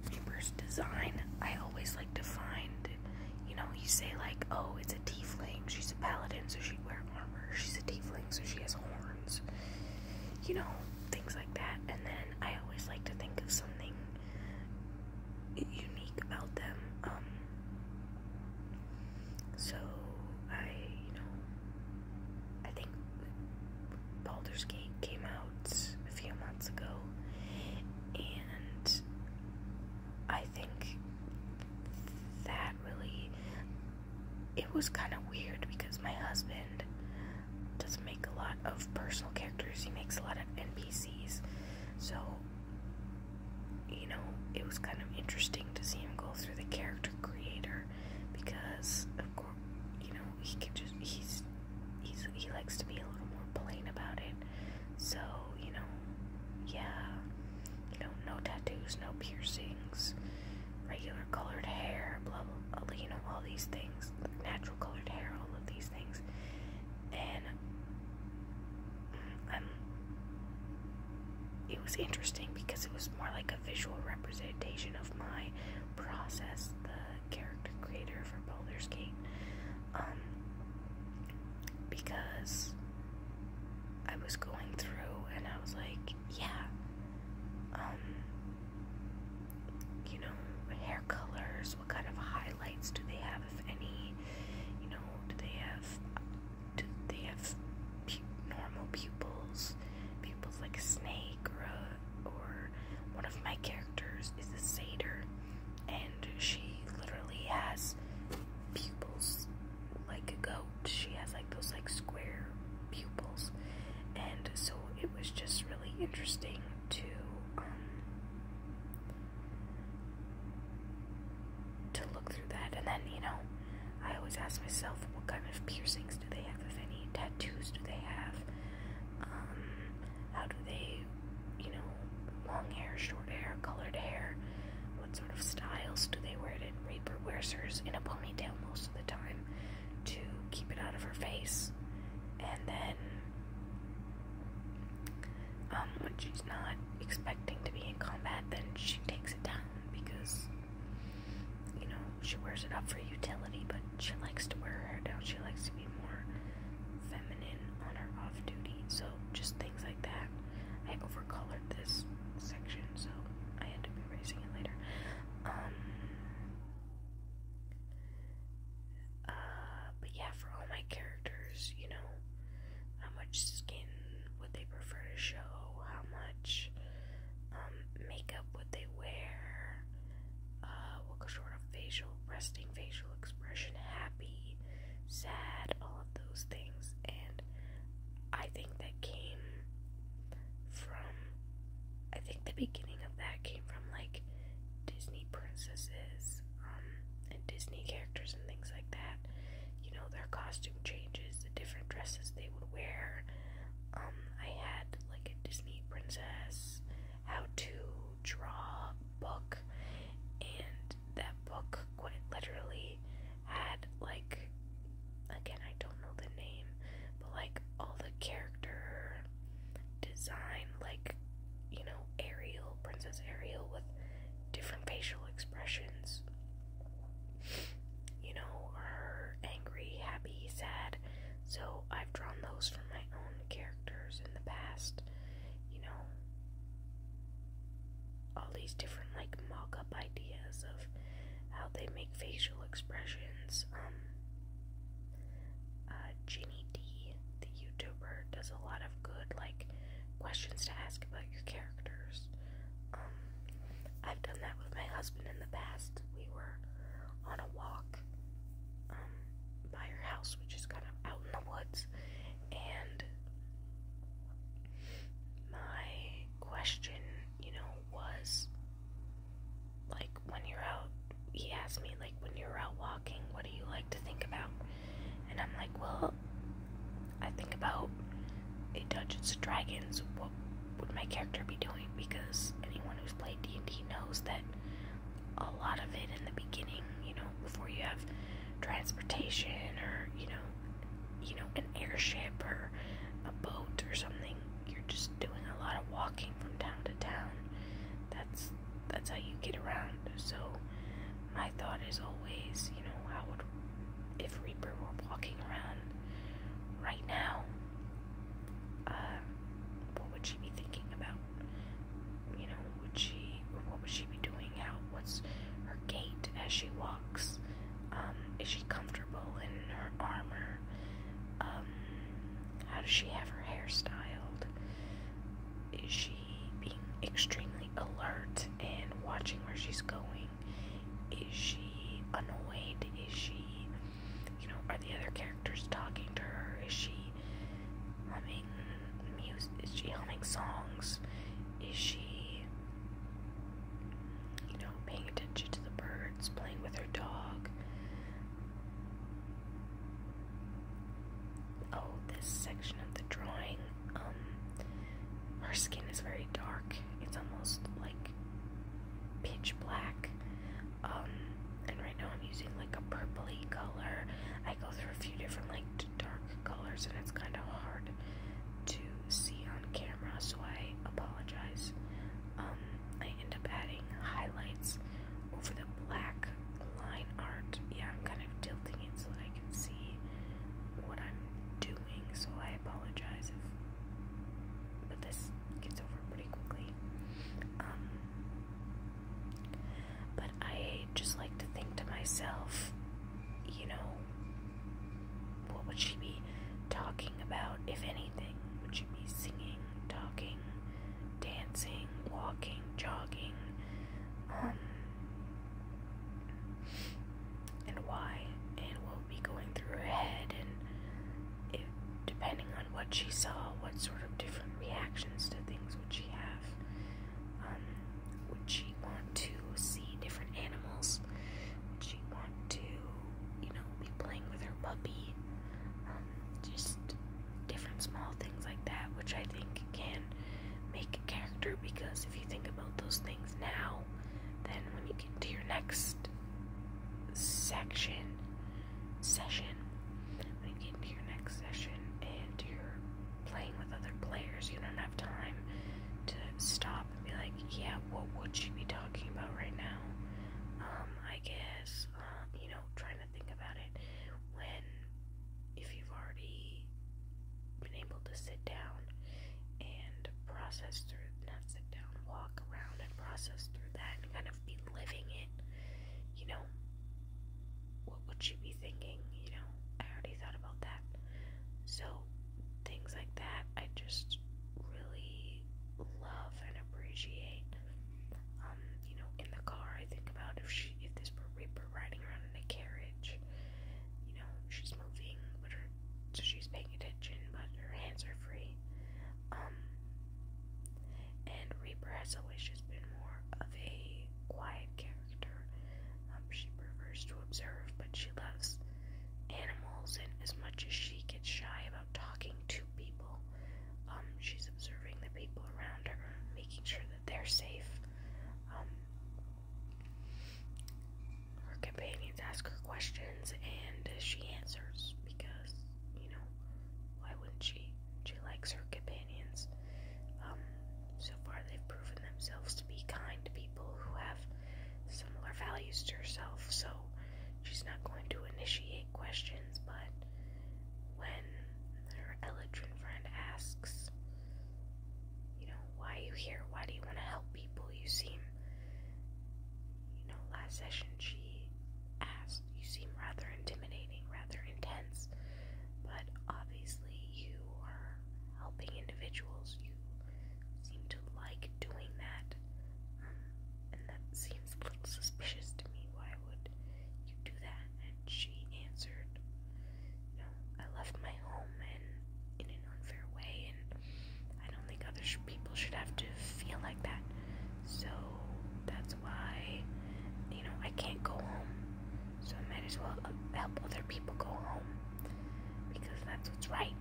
Reaper's design. I always like to find, you know, you say like, oh, it's a tiefling, she's a paladin, so she'd wear armor. She's a tiefling, so she has horns. You know, things like that. And then I always like to think of something unique about them. Um, so I, you know, I think Baldur's Gate came out a few months ago, and I think that really it was kind of weird because my husband doesn't make a lot of personal characters. He makes a lot of NPCs, so you know it was kind of interesting to see him go through the character creator because of you know, he can just, he's, he's, he likes to be a little more plain about it. So, you know, yeah, you know, no tattoos, no piercings, regular colored hair, blah, blah, blah you know, all these things, natural colored hair, all of these things. And um, it was interesting because it was more like visual representation of my process, the character creator for Baldur's Gate. Um, because I was going through and I was like, yeah, um, you know, hair colors, what kind of highlights do they have, if any? You know, do they have, do they have normal pupils, pupils like a snake or or one of my characters is a satyr and she literally has pupils like a goat. She has like those like square pupils. And so it was just really interesting to um, to look through that and then you know I always ask myself what kind of piercing do they have, any? Tattoos do they have? Um, how do they, you know, long hair, short hair, colored hair? What sort of styles do they wear? Did Reaper wears hers in a ponytail most of the time to keep it out of her face? And then, um, when she's not expecting to be in combat, then she takes it down because you know, she wears it up for utility, but she likes to wear her hair down. She likes to be more feminine on her off duty. So, just things like that. I overcolored this section, so I had to be erasing it later. Um, uh, but yeah, for all my characters, you know, how much skin would they prefer to show? How much um, makeup, what they wear, uh, what sort of facial, resting facial expression, happy, sad, all of those things. And I think that came from, I think the beginning of that came from like Disney princesses um, and Disney characters and things like that. You know, their costume changes, the different dresses they would wear. Um, I had like a Disney princess how to draw book, and that book quite literally had like again I don't know the name, but like all the character design, like you know Ariel, Princess Ariel with different facial expressions. You know, her angry, happy, sad, so I've drawn those for my own characters in the past. You know, all these different like mock up ideas of how they make facial expressions. Um, uh, Ginny D, the YouTuber, does a lot of good like questions to ask about your characters. Um, I've done that with my husband in the past. We were on a walk um, by her house, which is kind of out in the woods. And my question, you know, was like when you're out, he asked me, like, when you're out walking, what do you like to think about? And I'm like, well, I think about a Dungeons and Dragons, would my character be doing? Because anyone who's played D&D knows that a lot of it in the beginning, you know, before you have transportation or, you know, you know, an airship or a boat or something, you're just doing a lot of walking from town to town. That's that's how you get around. So my thought is always, you know, how would if Reaper were walking around right now um, what would she be thinking about? You know, would she, what would she be doing? out? what's her gait as she walks? Um, is she comfortable in her armor? Um, how does she have her hair styled? Is she being extremely alert and watching where she's going? Is she annoyed? Is she you know, are the other characters talking to her? Is she humming music? Is she humming songs? Is she, you know, paying attention to the birds, playing with her dog? Oh, this section of the drawing, um, her skin is very dark. It's almost like pitch black um, and right now I'm using like a purpley color. I go through a few different like dark colors, and it's kind of hard to see on camera, so I apologize. Um, I end up adding highlights over the black line art. Yeah, I'm kind of tilting it so I can see what I'm doing, so I apologize if but this gets over pretty quickly. Um, but I just like to think to myself, you know, what would she be talking about, if anything? Would she be singing, talking, dancing, walking, jogging? Um, and why? And we'll be going through her head? And if, depending on what she saw, what sort of different reactions to things would she have? Um, would she want to see different animals? Would she want to, you know, be playing with her puppy? Um, just different small things like that, which I think can make a character because if you think about those things now, then when you get to your next section session when get into your next session and you're playing with other players, you don't have time to stop and be like, yeah, what would she be talking about right now? Um, I guess, uh, you know, trying to think about it when, if you've already been able to sit down and process through, not sit down, walk around and process through that and kind of be living it, you know, what would she be thinking? You know, I already thought about that. So, things like that, I just really love and appreciate. Um, you know, in the car, I think about if she, if this were Reaper riding around in a carriage, you know, she's moving, but her, so she's paying attention, but her hands are free. Um, and Reaper has always just been more of a quiet character. Um, she prefers to observe, but she loves animals, and as much as she gets shy about talking to people, um, she's observing the people around her, making sure that they're safe. Um, her companions ask her questions, and she answers because you know, why wouldn't she? She likes her companions. Um, so far, they've proven themselves to be kind people who have similar values to herself, so she's not going to initiate questions, but when her Eladrin friend asks, you know, why are you here? Why do you want to help people? You seem you know, last session she asked, you seem rather intimidating, rather intense, but obviously you are helping individuals. You seem to like doing that, um, and that seems a little suspicious to me. Why would you do that? And she answered, you know, I left my home and in an unfair way, and I don't think others people should have to feel like that. So that's why, you know, I can't go home. So I might as well uh, help other people go home because that's what's right.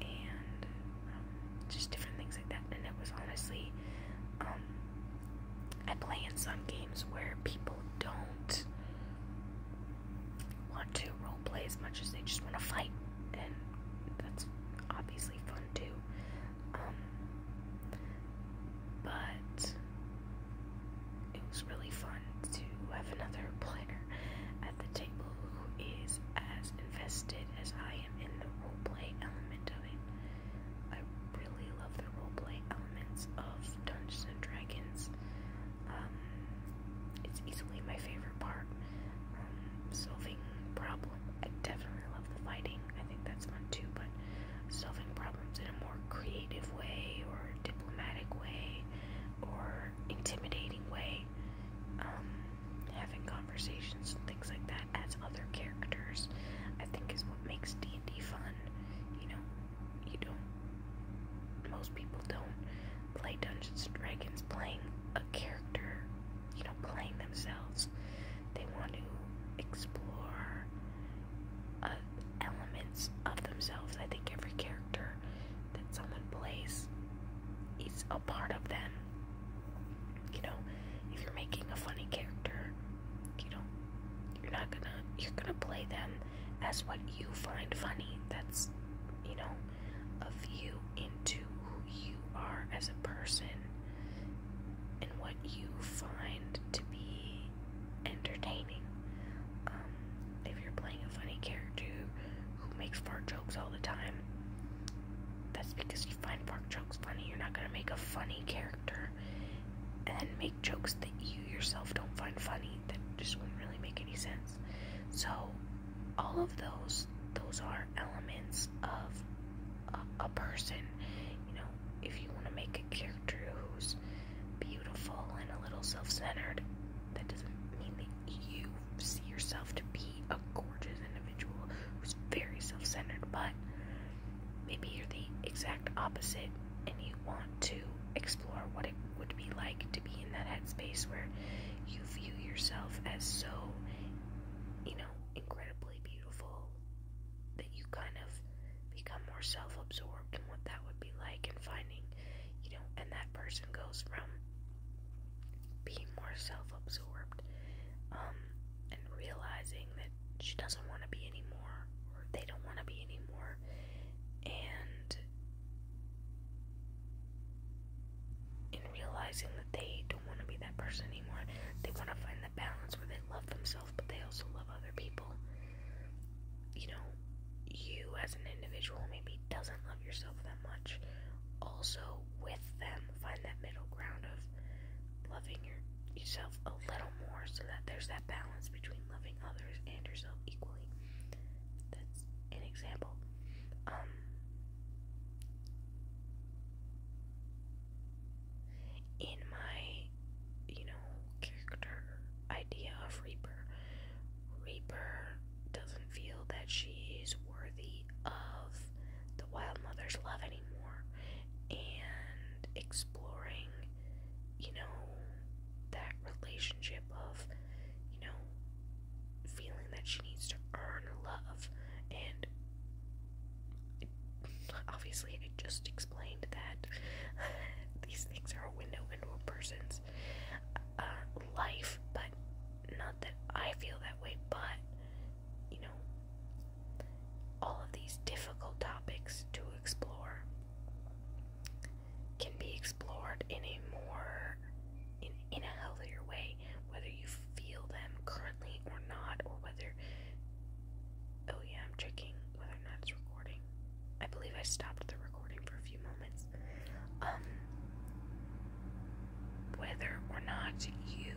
And um, just different things like that. And it was honestly, um, I play in some games where people don't want to roleplay as much as they just want to fight. And that's obviously fun too but it was really fun to have another player at the table who is as invested as I am in the roleplay element of it. I really love the roleplay elements of Dungeons and Dragons. Um, it's easily my favorite part solving problems. I definitely love the fighting. I think that's fun too, but solving problems in a more creative way or diplomatic way or intimidating way. Um, having conversations and things like that as other characters, I think is what makes D&D fun. You know, you don't, most people don't play Dungeons & Dragons playing a character, you know, playing themselves. They want to explore uh, elements of themselves. I think every character that someone plays is a part of them. You know, if you're making a funny character, you know, you're not gonna, you're gonna play them as what you find funny. That's, you know, of you into you are as a person and what you find to be entertaining. Um, if you're playing a funny character who makes fart jokes all the time, that's because you find fart jokes funny. You're not gonna make a funny character and make jokes that you yourself don't find funny. That just wouldn't really make any sense. So, all of those, those are are elements of a, a person. You know, if you want to make a character who's beautiful and a little self centered, that doesn't mean that you see yourself to be a gorgeous individual who's very self centered, but maybe you're the exact opposite and you want to explore what it would be like to be in that headspace where you view yourself as so, you know, incredible beautiful that you kind of become more self absorbed in what that would be like and finding, you know, and that person goes from being more self absorbed um, and realizing that she doesn't want to be anymore or they don't want to be anymore and in realizing that they don't want to be that person anymore. They want to find the balance where they love themselves, but they also love other people. You know, you as an individual maybe doesn't love yourself that much. Also, with them, find that middle ground of loving yourself a little more so that there's that balance between loving others and yourself equally. That's an example. Um, in my, you know, character idea of Reaper. Reaper doesn't feel that she is worthy of the Wild love anymore. And exploring, you know, that relationship of, you know, feeling that she needs to earn love and obviously I just explained that these things are a window into a person's uh, life, but not that I feel that way, but you know, all of these difficult topics to explore can be explored in a more in, in a healthier way whether you feel them currently or not, or whether. Oh, yeah, I'm checking whether or not it's recording. I believe I stopped the recording for a few moments. Um, whether or not you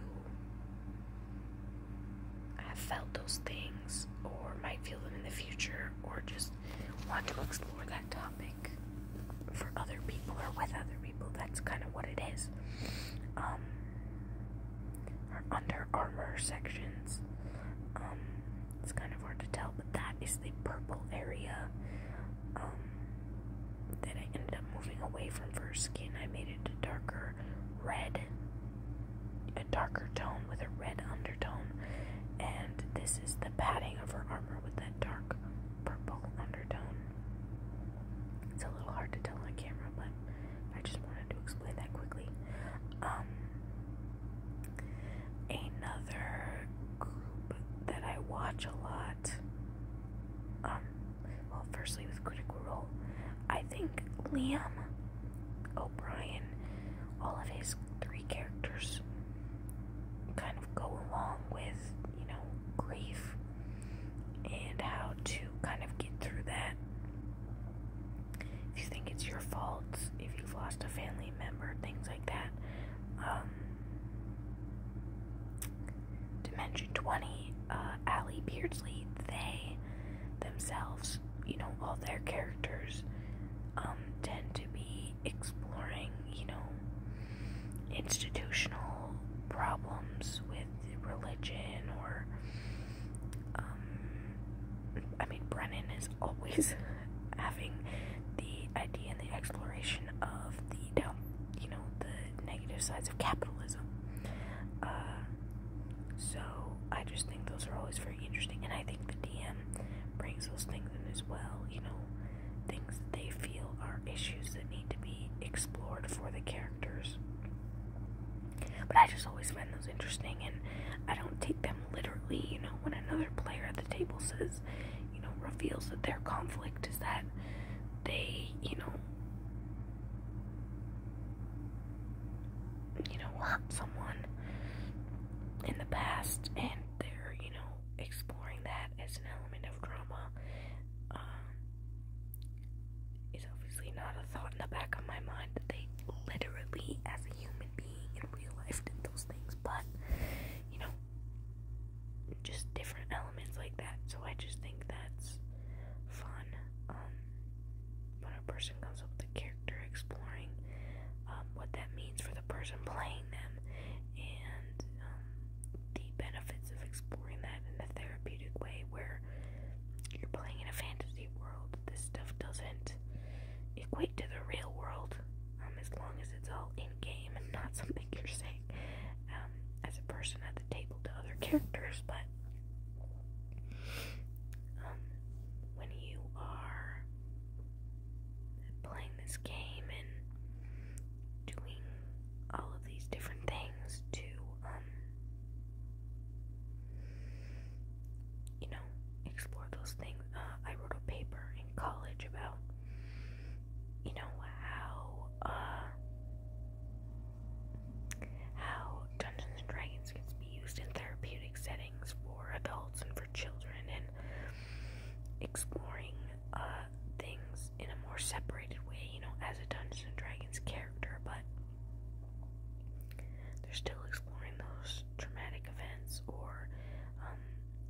have felt those things, or might feel them in the future, or just want to explore that topic for other people or with other people. That's kind of what it is. Um, Under Armour sections. Um, it's kind of hard to tell, but that is the purple area um, Then I ended up moving away from first skin. I made it a darker red, a darker tone with a red undertone, and this is the padding of her armor with that dark purple undertone. It's a little hard to tell on camera, but I just wanted to explain that quickly. Um, another group that I watch a lot. Um, well, firstly with Critical Role, I think Liam O'Brien, all of his three characters, kind of go along with you know grief and how to kind of get through that. If you think it's your fault, if you've lost a family member, things like that. Um, Dimension 20, uh, Ali Beardsley, they themselves, you know, all their characters um, tend to be exploring, you know, institutional problems with religion or um, I mean Brennan is always having the idea and the exploration of the down you know the negative sides of capitalism. Uh, so I just think those are always very interesting and I think the DM brings those things in as well, you know, things that they feel are issues that need to be explored for the characters. But I just always find those interesting, and I don't take them literally. You know, when another player at the table says, you know, reveals that their conflict is that they, you know, you know, hurt someone in the past, and they're, you know, exploring that as an element of drama. Um, it's obviously not a thought in the back of my mind that they literally, as a human being in real life, did those things, but you know, just different elements like that. So I just think that's fun. Um, when a person comes up with a character, exploring um, what that means for the person playing them, and um, the benefits of exploring that in a therapeutic way where you're playing in a fantasy world. This stuff doesn't equate to the real world um, as long as it's all in game and not something you're saying um, as a person at the table to other characters. But um, when you are playing this game and doing all of these different things to um, you know, explore those things. Uh, I wrote a paper in college about, you know, how uh, how Dungeons and Dragons can be used in therapeutic settings for adults and for children, and exploring uh, things in a more separated way, you know, as a Dungeons and Dragons character, but they're still exploring those traumatic events or um,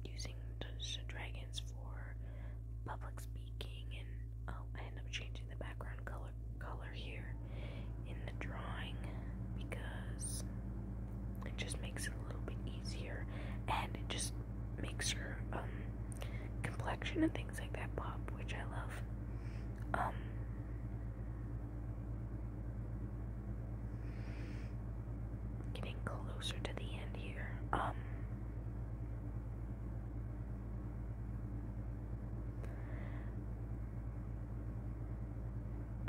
using Dungeons and Dragons for public speaking. And oh, I end up changing the background color color here in the drawing because it just makes it a little bit easier, and it just makes her um, complexion and things things like that pop, which I love. Um, getting closer to the end here. Um,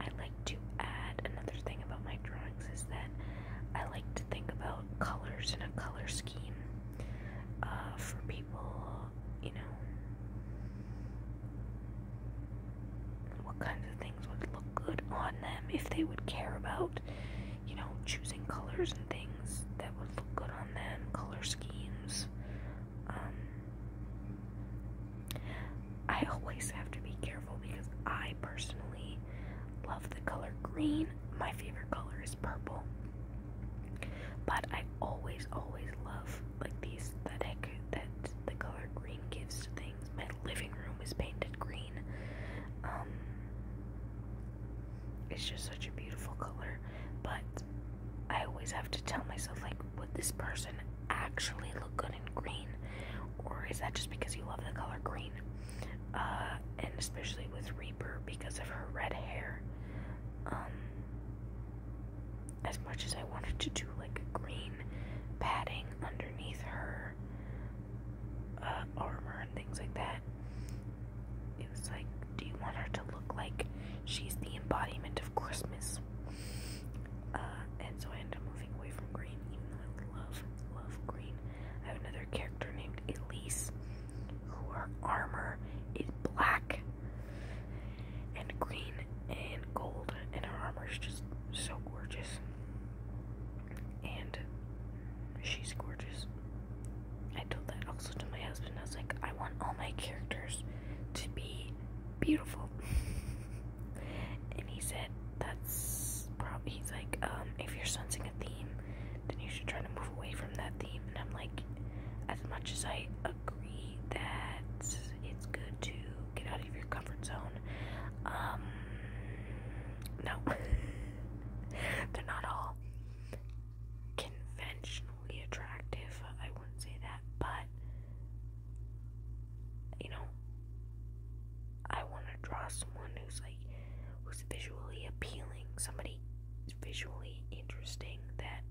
I like to add another thing about my drawings is that I like to think about colors and a color scheme uh, for people, you know, what kinds of things would look good on them if they would care about, you know, choosing colors and things that would look good on them, color schemes. Um, I always have to be careful because I personally love the color green. My favorite color is purple. But I always, always love like these aesthetic that the color green gives to things. My living room is painted green. Um, it's just such a beautiful color. But I always have to tell myself like, would this person actually look good in green, or is that just because you love the color green? Uh, and especially with Reaper because of her red hair. Um, as much as I wanted to do like green padding underneath her uh, armor and things like that, it was like, do you want her to look like she's the embodiment of Christmas? Uh, and so I ended up moving away from green, even though I love, love green. I have another character named Elise who her armor is black and green and gold, and her armor is just so gorgeous. And she's gorgeous. I told that also to my husband. I was like, I want all my characters to be beautiful. and he said, That's probably, he's like, um, if you're sensing a theme, then you should try to move away from that theme. And I'm like, as much as I agree that it's good to get out of your comfort zone, um, no, they're not all conventionally attractive. I wouldn't say that, but you know, I want to draw someone who's like who's visually appealing, somebody visually interesting that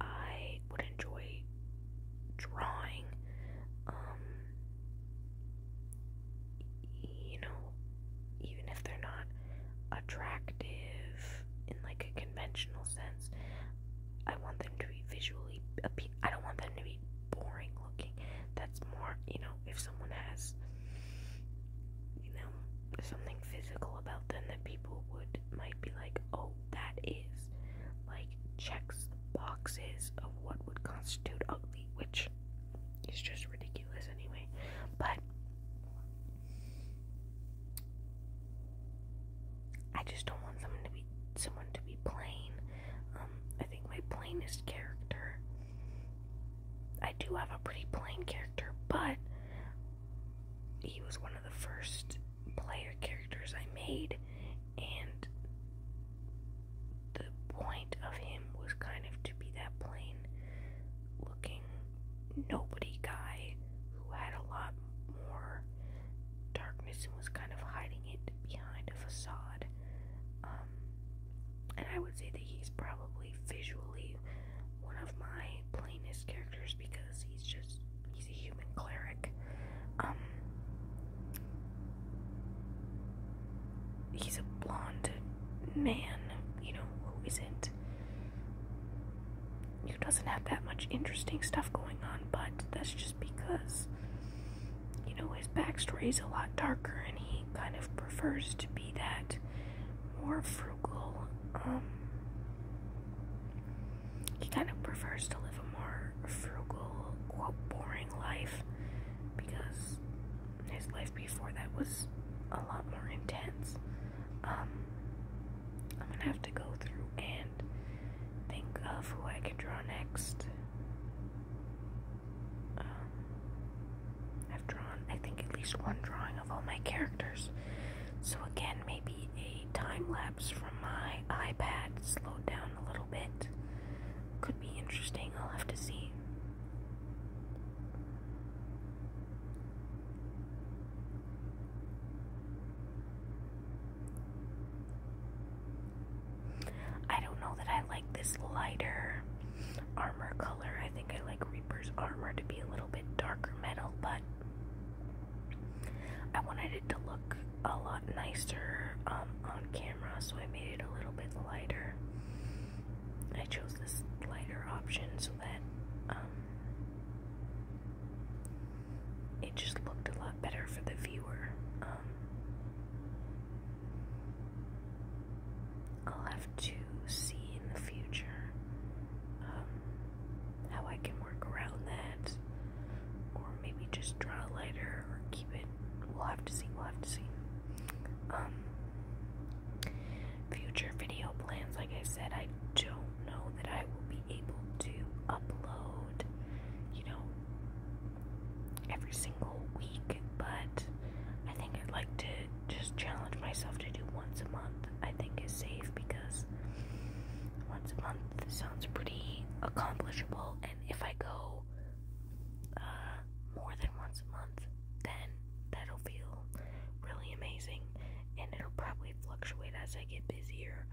I would enjoy drawing. Um, you know, even if they're not attractive in like a conventional sense, I want them to be visually appealing. I don't want them to be boring looking. That's more, you know, if someone has you know, something physical about them that people would might be like, oh, that is like checks boxes of what would constitute ugly, which is just ridiculous anyway. But I just don't want someone to be someone to be plain. Um, I think my plainest character I do have a pretty plain character, but he was one of the first player characters I made, and the point of him was kind of to be that plain looking nobody guy who had a lot more darkness and was kind of hiding it behind a facade. Um, and I would say that he's probably visually one of my plainest characters because he's just he's a human cleric. Um he's a blonde man, you know, who isn't who doesn't have that much interesting stuff going on, but that's just because you know his backstory is a lot darker and he kind of prefers to be that more frugal. Um, he kind of prefers to live a more frugal, quote, boring life because his life before that was a lot more intense. Um, I'm gonna have to go through and think of who I can draw next. Um, I've drawn, I think, at least one drawing of all my characters. So, again, maybe a time lapse from my iPad slowed down a little bit. Could be interesting, I'll have to see. I don't know that I like this lighter armor color. I think I like Reaper's armor to be a little little bit darker metal, but I wanted it to look a lot nicer um, on camera, so I made it a little bit lighter. I chose this lighter option so that um, it just looked a lot better for the viewer. Um, I'll have to see in the future um, how I can work around that, or maybe just draw lighter or keep it. We'll have to see. We'll have to see. Um, future video plans. Like I said, I don't know that I will be able to upload, you know, every single week, but. I think I'd like to just challenge myself to do once a month. I think is safe because once a month sounds pretty accomplishable, and if I go uh, more than once a month, then that'll feel really amazing, and it'll probably fluctuate as I get busier.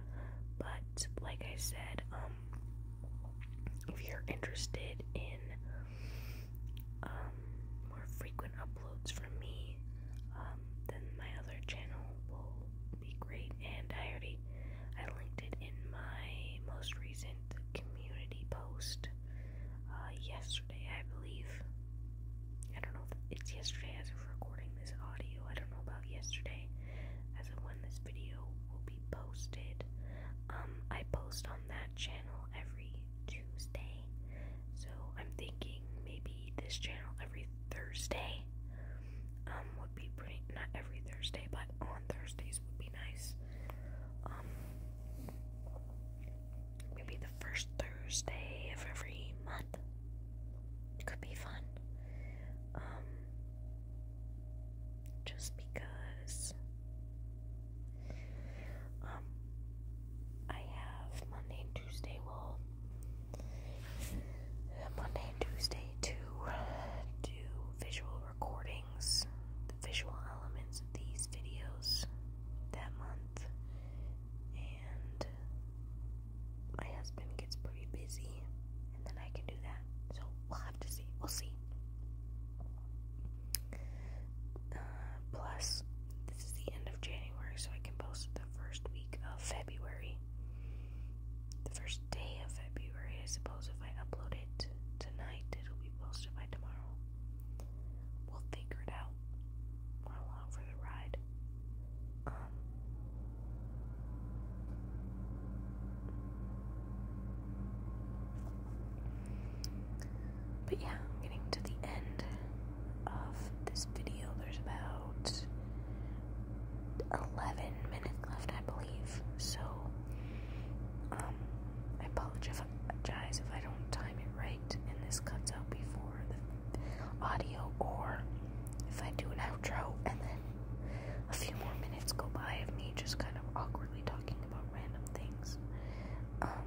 But like I said, um, if you're interested in um, more frequent uploads from me, um, my other channel will be great. And I already I linked it in my most recent community post uh, yesterday, I believe. I don't know if it's yesterday as of recording this audio. I don't know about yesterday as of when this video will be posted. Um, I post on that channel every Tuesday. So I'm thinking maybe this channel every Thursday um, would be pretty not every Thursday, but on Thursdays would be nice. Um, maybe the first Thursday of every month. could be fun. Um, just because um, I have Monday and Tuesday. Well, Monday and Tuesday to do visual recordings, the visual elements of these videos that month, and my husband gets pretty busy, and then I can do that. So we'll have to see. We'll see. Uh, plus, this is the end of January, so I can post the first week of February. The first day of February, I suppose, if I upload it tonight, it'll be posted by tomorrow. We'll figure it out. we along for the ride. Um, but yeah, I'm getting to the end of this video. There's about 11 minutes left, I believe. So, um, I apologize if I don't time it right and this cuts out before the audio, or if I do an outro and then a few more minutes go by of me just kind of awkwardly talking about random things. Um,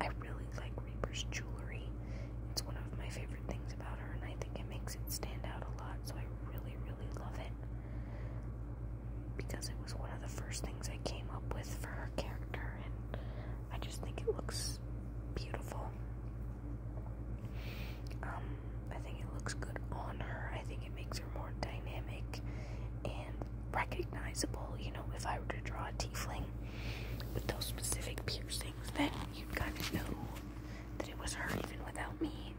I really like Reaper's jewelry. It's one of my favorite things about her, and I think it makes it stand out a lot, so I really, really love it. Because it was one of the first things I came up with for her character, and I just think it looks beautiful. Um, I think it looks good on her. I think it makes her more dynamic and recognizable. You know, if I were to draw a tiefling with those specific piercings, then you'd kind of know that it was her even without me.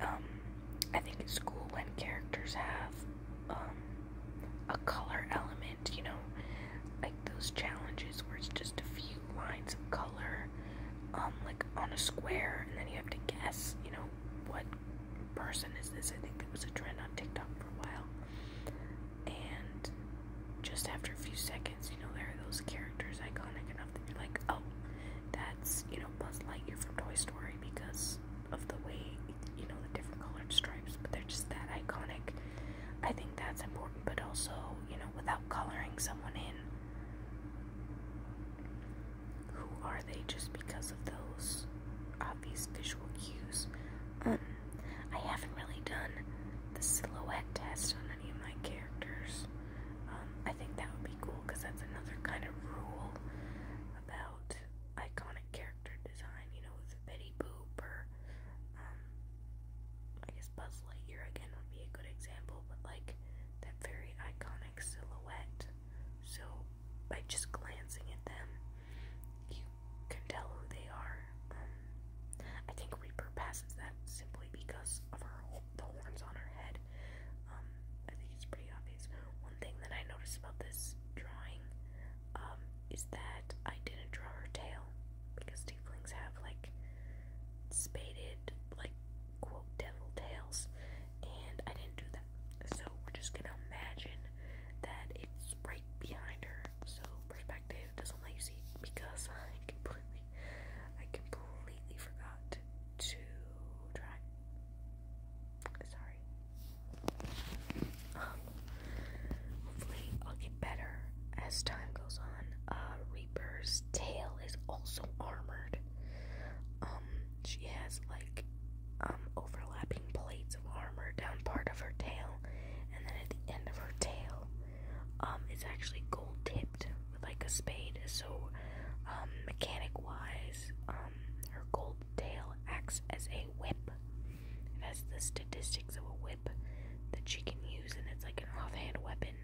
Um, I think it's cool when characters have um, a color element, you know, like those challenges where it's just a few lines of color um, like on a square, and then you have to guess, you know, what person is this. I think that was a trend on TikTok for a while. And just after a few seconds, you know, there are those characters iconic enough that you're like, oh, that's, you know, Buzz Lightyear from Toy Story because of the way, you know, the different colored stripes, but they're just that iconic. I think that's important, but also, you know, without coloring someone in. Who are they just because of those obvious visual cues? Um, I haven't really done the silhouette test on any of my characters. Um, I think that would be cool because that's another kind of rule about iconic character design. You know, with Betty Boop or, um, I guess Buzz Lightyear again would be a good example, but like that very iconic silhouette so by just glancing at them, you can tell who they are. Um, I think Reaper passes that simply because of her the horns on her head. Um, I think it's pretty obvious. One thing that I noticed about this drawing um, is that I didn't draw her tail because tieflings have like spaded, like quote devil tails and I didn't do that. So we're just gonna imagine that it's right behind her. So perspective doesn't let because I completely, I completely forgot to try. Sorry. Um, hopefully, I'll get better as time goes on. Uh, Reapers Wolf's tail is also armored. Um, she has like um, overlapping plates of armor down part of her tail, and then at the end of her tail, um, actually gold tipped with like a spade. So, um, mechanic wise, her gold tail acts as a whip. It has the statistics of a whip that she can use, and it's like an off-hand weapon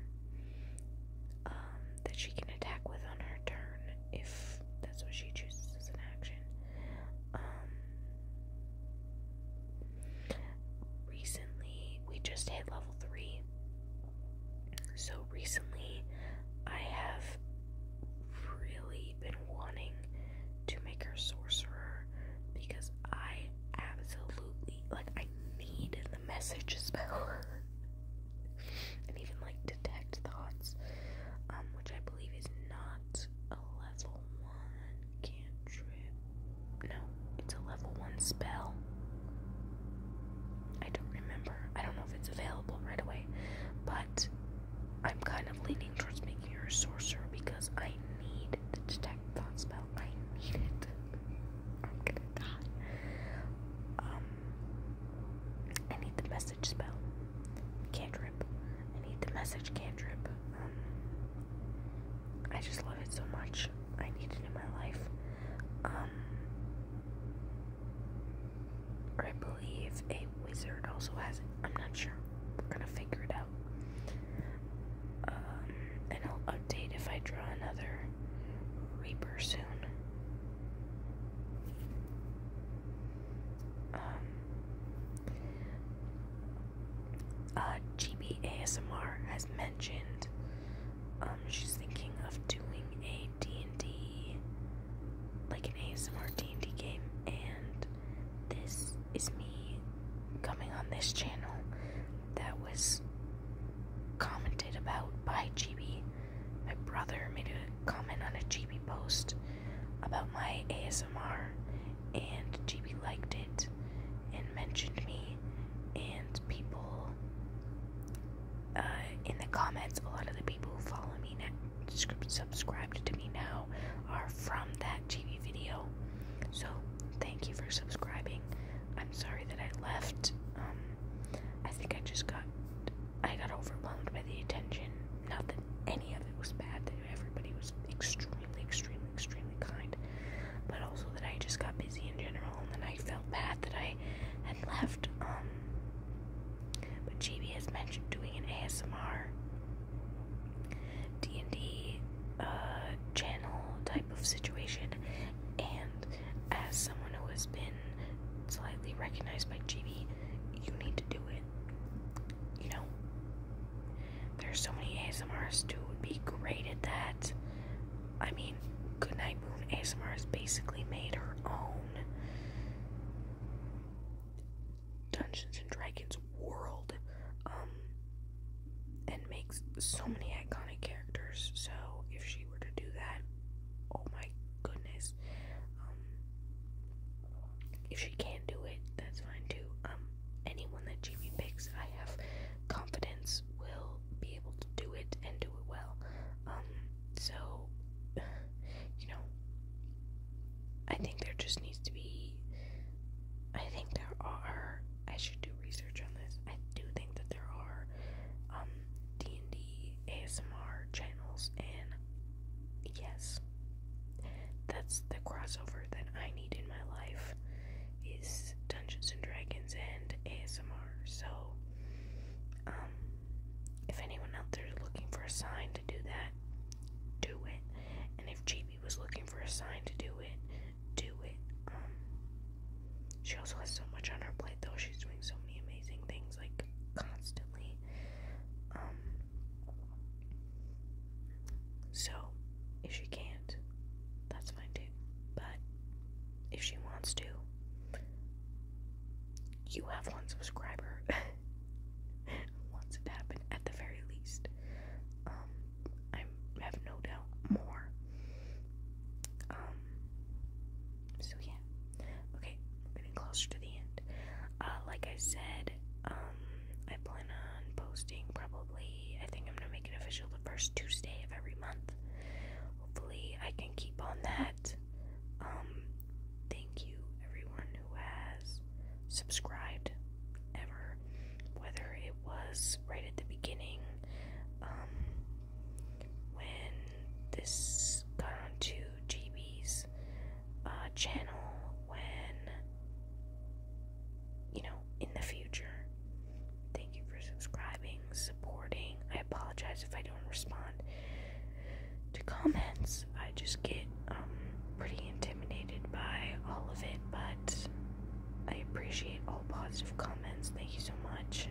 that she can attack with on her turn if that's what she chooses as an action. Um, recently, we just hit level 3. So recently, I have really been wanting to make her sorcerer because I absolutely like I need the message spell. and even like detect thoughts, um, which I believe is not a level one cantrip. No, it's a level one spell. I don't remember. I don't know if it's available right away, but I'm kind of leaning towards making her a sorcerer because I need the detect thoughts spell. I need it. I'm gonna die. Um, I need the message spell. Cantrip. I need the message cantrip. Um, I just love it so much. I need it in my life. Um, I believe a wizard also has it. I'm not sure. We're gonna figure it out. Um, and I'll update if I draw another Reaper soon. Um, uh, GB ASMR has mentioned um, she's thinking of doing a D&D, like an ASMR D&D game, and this is me coming on this channel that was commented about by GB my brother made a comment on a GB post about my ASMR, and GB liked it and mentioned me. And people uh, in the comments, a lot of the people who follow me now, subscribed to me now, are from that GB video. So thank you for subscribing. I'm sorry that I left. Um, I think I just got I got overwhelmed by the attention. Not that any of it was bad, that everybody was extremely, extremely, extremely kind, but also that I just got busy in general and then I felt bad that I had left. Um, but JB has mentioned doing an ASMR D&D uh, channel type of situation, and as someone who has been slightly recognized by GB, you need to do it. You know? There's so many ASMRs who would be great at that. I mean, Goodnight Moon ASMRs basically made her own Dungeons and Dragons world, um, and makes so many iconic characters. So if she were to do that, oh my goodness. Um, if she can do it, that's fine too. Um, anyone that Jamie picks, I have confidence will be able to do it and do it well. Um, so you know, I think there just needs to be. I think there are. I should do research on this. I do think that there are D&D ASMR channels and yes, that's the crossover that I need in my life is Dungeons and Dragons and ASMR. So, um, if anyone out there is looking for a sign to do that, do it. And if GB was looking for a sign to do it, do it. Um, she also has so much on her plate, though. She's doing so many amazing things like constantly. Um, so, if she can't, that's fine too. But if she wants to, you have one subscriber. Once it happened, at the very least, um, I have no doubt more. Um, so yeah. Okay, we're getting closer to the end. Uh, like I said, um, I plan on posting probably. I think I'm gonna make it official the first Tuesday of every month. Hopefully, I can keep on that. Um, thank you everyone who has subscribed ever, whether it was right at the beginning, um, when this got onto GB's uh, channel, when you know, in the future. Thank you for subscribing, supporting. I apologize if I don't respond to comments. I just get um pretty intimidated by all of it, but I appreciate all positive comments. Thank you so much.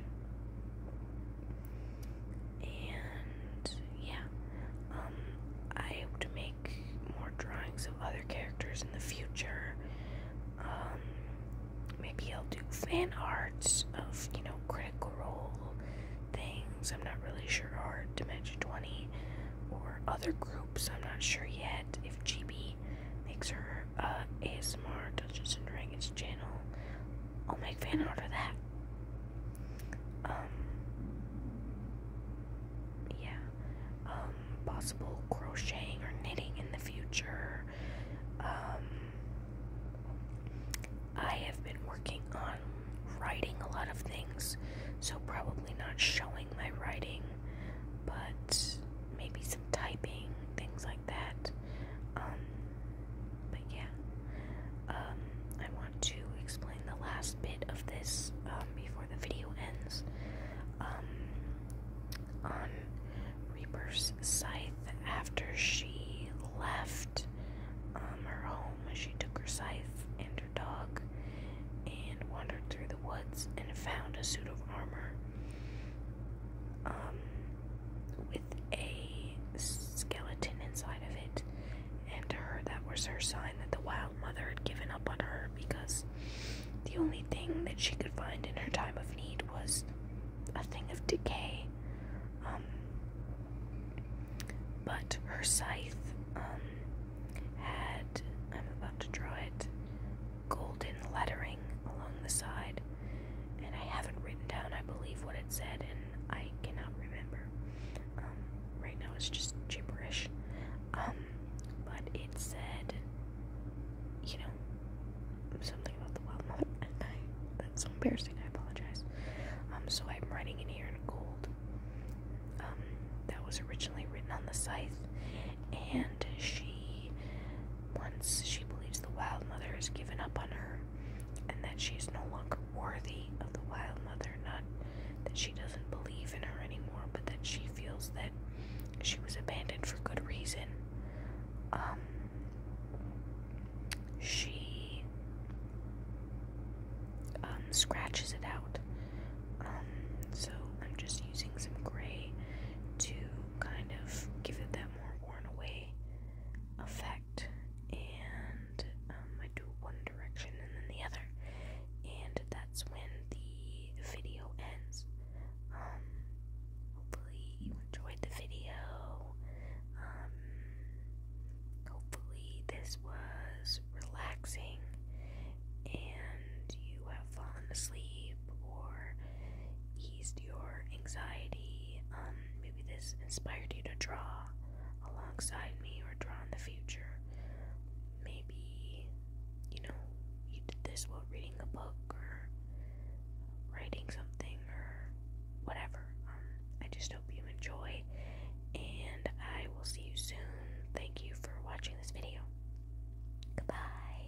And yeah, um, I hope to make more drawings of other characters in the future. Um, maybe I'll do fan arts of you know Critical Role things. I'm not really sure, or Dimension 20, or other groups. I'm not sure yet if GB makes her uh, ASMR Dungeons and Dragons channel. I'll make fan art of that. Um, yeah, um, possible crocheting or knitting in the future. Um, I have been working on writing a lot of things, so probably not showing my writing, but maybe some typing, things like that. Um, but yeah, um, I want to explain the last bit of this um, before the video ends. Um, on Reaper's scythe, after she left her home, she took her scythe and her dog and wandered through the woods and found a suit of armor with a skeleton inside of it. And to her, that was her sign that the Wild Mother had given up on her because the only thing that she could find in her time of need was a thing of decay. Um, but her scythe um, had, I'm about to draw it, golden lettering along the side and I haven't written down, I believe, what it said, and I cannot remember. Um, right now it's just gibberish. Um, but it said, you know, something about the wild moth That's so embarrassing. I apologize. Um, so I'm writing in here in gold. that was originally written on the scythe, and she, once she believes the wild mother has given up on her, and that she is no longer worthy of the Wild Mother. Not that she doesn't believe in her anymore, but that she feels that she was abandoned for good reason. Um, she um, scratches it out. Um, so I'm just using some gray to kind of give it that more worn away effect and um, I do one direction and then the other, and that's when the video ends. Um, hopefully, you enjoyed the video. Um, hopefully, this was relaxing and you have fallen asleep or eased your anxiety. Um, maybe this inspired you to draw alongside me or draw in the future. Maybe you know you did this while reading a book or writing something or whatever. Um, I just hope you enjoy and I will see you soon. Thank you for watching this video. Goodbye.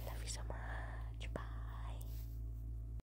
I love you so much. Bye.